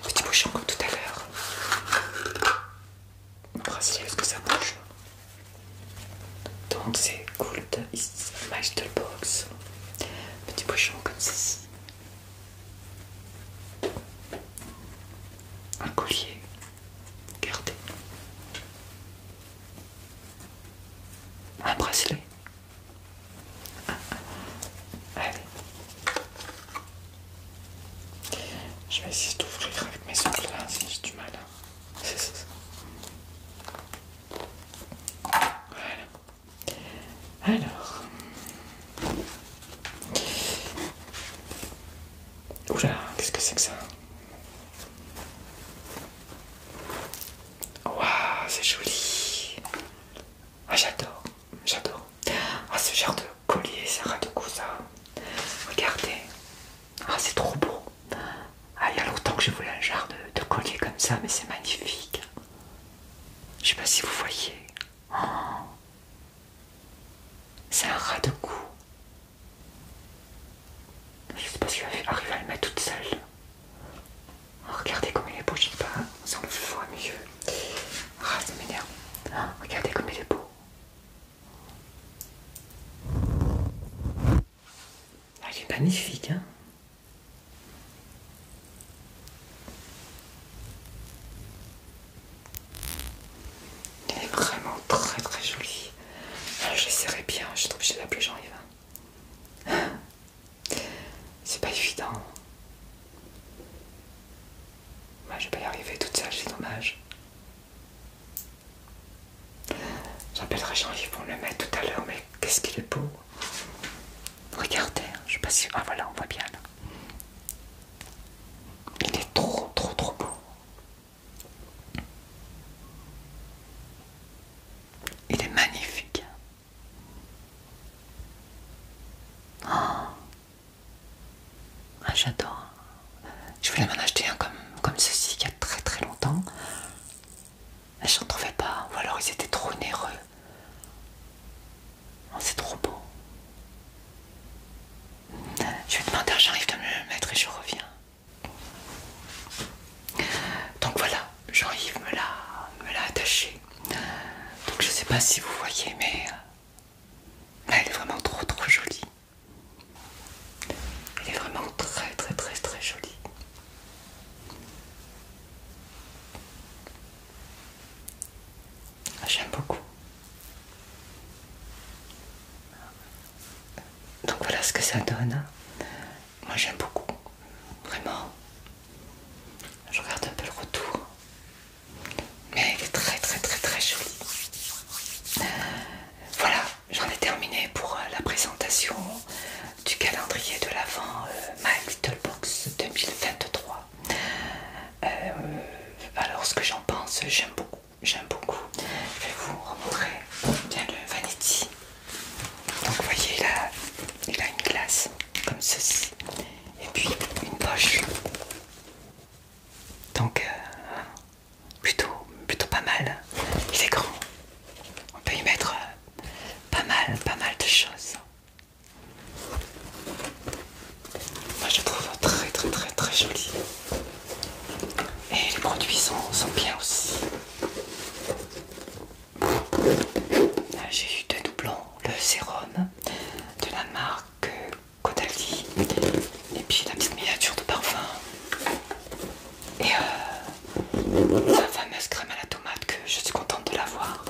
Petit bouchon comme tout à l'heure. Un bracelet, parce que ça bouge. Donc c'est cool is my box. Petit bouchon comme ceci. Un collier. Gardé Un bracelet. Allez. Je vais essayer d'ouvrir avec mes ongles là, si j'ai du mal. Hein. Voilà. Alors. Oula, qu'est-ce que c'est que ça Waouh, c'est joli. Ah, j'adore j'adore. Ah, ce genre de collier, c'est rat de ça. Regardez, ah, c'est trop beau. Ah, il y a longtemps que je voulais un genre de, collier comme ça, mais c'est magnifique. Je sais pas si vous voyez. Oh. C'est un rat de cou. Je sais pas si je à le mettre toute seule. Oh, regardez comme il est beau, je pas, on voit mieux. Ah, ça m'énerve. regardez comme il est beau. Elle ah, est magnifique, hein est vraiment très très jolie. Ah, je l'essaierai bien, je trouve que j'ai l'appeler Jean-Yves. Hein. Hein C'est pas évident. Moi, bah, je vais pas y arriver toute seule, c'est dommage. J'appellerai Jean-Yves pour le mettre tout à l'heure, mais qu'est-ce qu'il est beau! Regardez, hein, je sais pas si. Ah voilà, on voit bien là. Il est trop, trop, trop beau. Il est magnifique. Hein. Oh, ah, J'adore. Je voulais m'en acheter un comme, ceci il y a très très longtemps. Je n'en trouvais pas. Ou alors ils étaient trop nerveux. Oh, c'est trop beau. Je vais demander à Jean-Yves de me le mettre et je reviens. Donc voilà, Jean-Yves me l'a attaché. Donc je sais pas si vous voyez, mais elle est vraiment trop trop jolie. Elle est vraiment très très très très jolie. Ah, j'aime beaucoup. Donc voilà ce que ça donne. Hein. Moi j'aime beaucoup. Vraiment. Je regarde un peu le retour mais très très très très joli. Euh, voilà, j'en ai terminé pour euh, la présentation du calendrier de l'avant euh, My Little Box 2023. alors ce que j'en pense, j'aime beaucoup, j'aime beaucoup. Je vais vous montrer bien le vanity. Donc vous voyez il a une glace comme ceci et puis une poche donc euh, plutôt, plutôt pas mal. Il est grand. On peut y mettre euh, pas mal, pas mal de choses. Moi je trouve très très très très joli. Et les produits sont bien aussi. J'ai eu deux doublons, le sérum de la marque Cotaldi et puis la petite miniature de parfum et euh, la fameuse crème à la tomate que je suis contente de l'avoir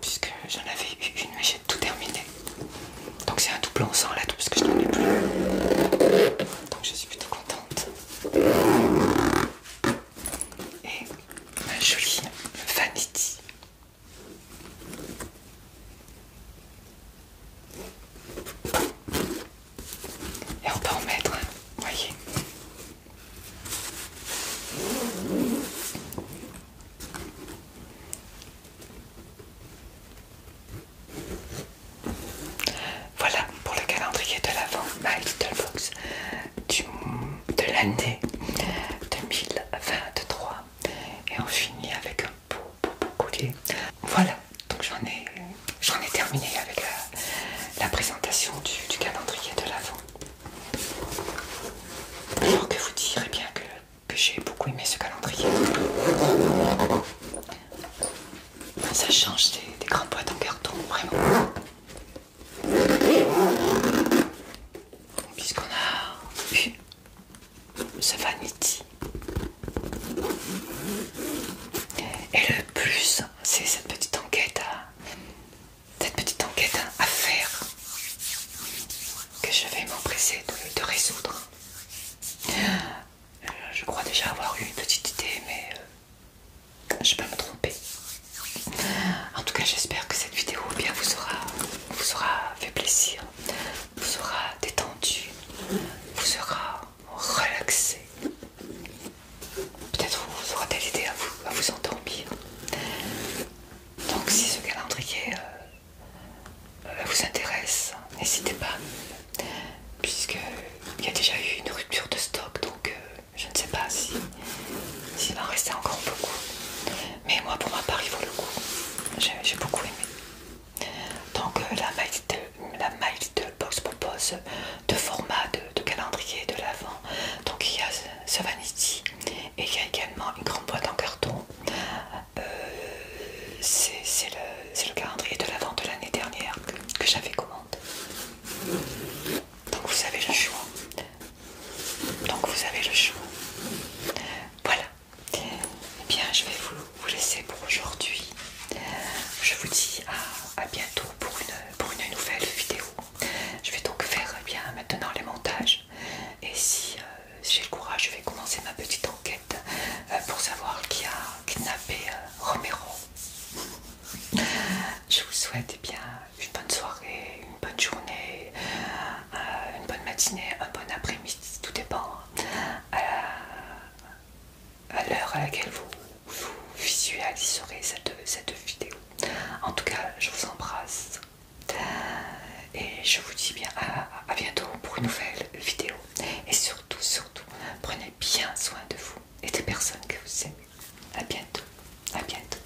puisque j'en avais eu une mais j'ai tout terminé donc c'est un doublon sans lettres parce que je n'en ai plus donc je suis plutôt contente et ma jolie vanity et on peut en mettre, hein, voyez. Voilà pour le calendrier de l'avant My Little Box de l'année 2023. Et on finit avec pour, Voilà, donc j'en ai, terminé avec la, présentation du, calendrier de l'avant. Alors que vous direz eh bien que, j'ai beaucoup aimé ce calendrier. Ça change des, des grandes boîtes en carton, vraiment. Puisqu'on a eu ce Vanity. Et le plus, c'est cette petite enquête à, cette petite enquête à faire que je vais m'empresser de, résoudre. Euh, je crois déjà avoir eu une petite idée, mais euh, je peux me tromper. En tout cas, j'espère que cette vidéo bien vous vous aura fait plaisir vous sera détendu, vous sera relaxé. Peut-être vous aura t aidé à vous, à vous endormir. Donc si ce calendrier euh, euh, vous intéresse, n'hésitez pas, puisqu'il y a déjà eu une rupture de stock, donc euh, je ne sais pas s'il si, en rester encore beaucoup. Mais moi, pour ma part, il vaut le coup. J'ai beaucoup aimé. Donc euh, la, My la Box propose deux formats de, calendrier de l'avant. Donc il y a ce Vanity et il y a également une grande boîte en carton. Euh, c'est le, calendrier de l'avant de l'année dernière que, que j'avais commandé. Donc vous avez le choix. Donc vous avez le choix. Voilà, eh bien, je vais vous, laisser pour aujourd'hui. Je vous dis à, bientôt pour une, nouvelle vidéo. Je vais donc faire eh bien maintenant les montages. Et euh, si j'ai le courage, je vais commencer ma petite enquête euh, pour savoir qui a kidnappé euh, Romero. <laughs> Je vous souhaite eh bien une bonne soirée, une bonne journée, une bonne matinée, un bon après-midi, tout dépend hein. Euh, à l'heure à, laquelle vous, vous visualiserez cette, cette vidéo. En tout cas, je vous embrasse euh, et je vous dis bien à, à bientôt pour une nouvelle vidéo. Et surtout, surtout, prenez bien soin de vous et des personnes que vous aimez. À bientôt, à bientôt.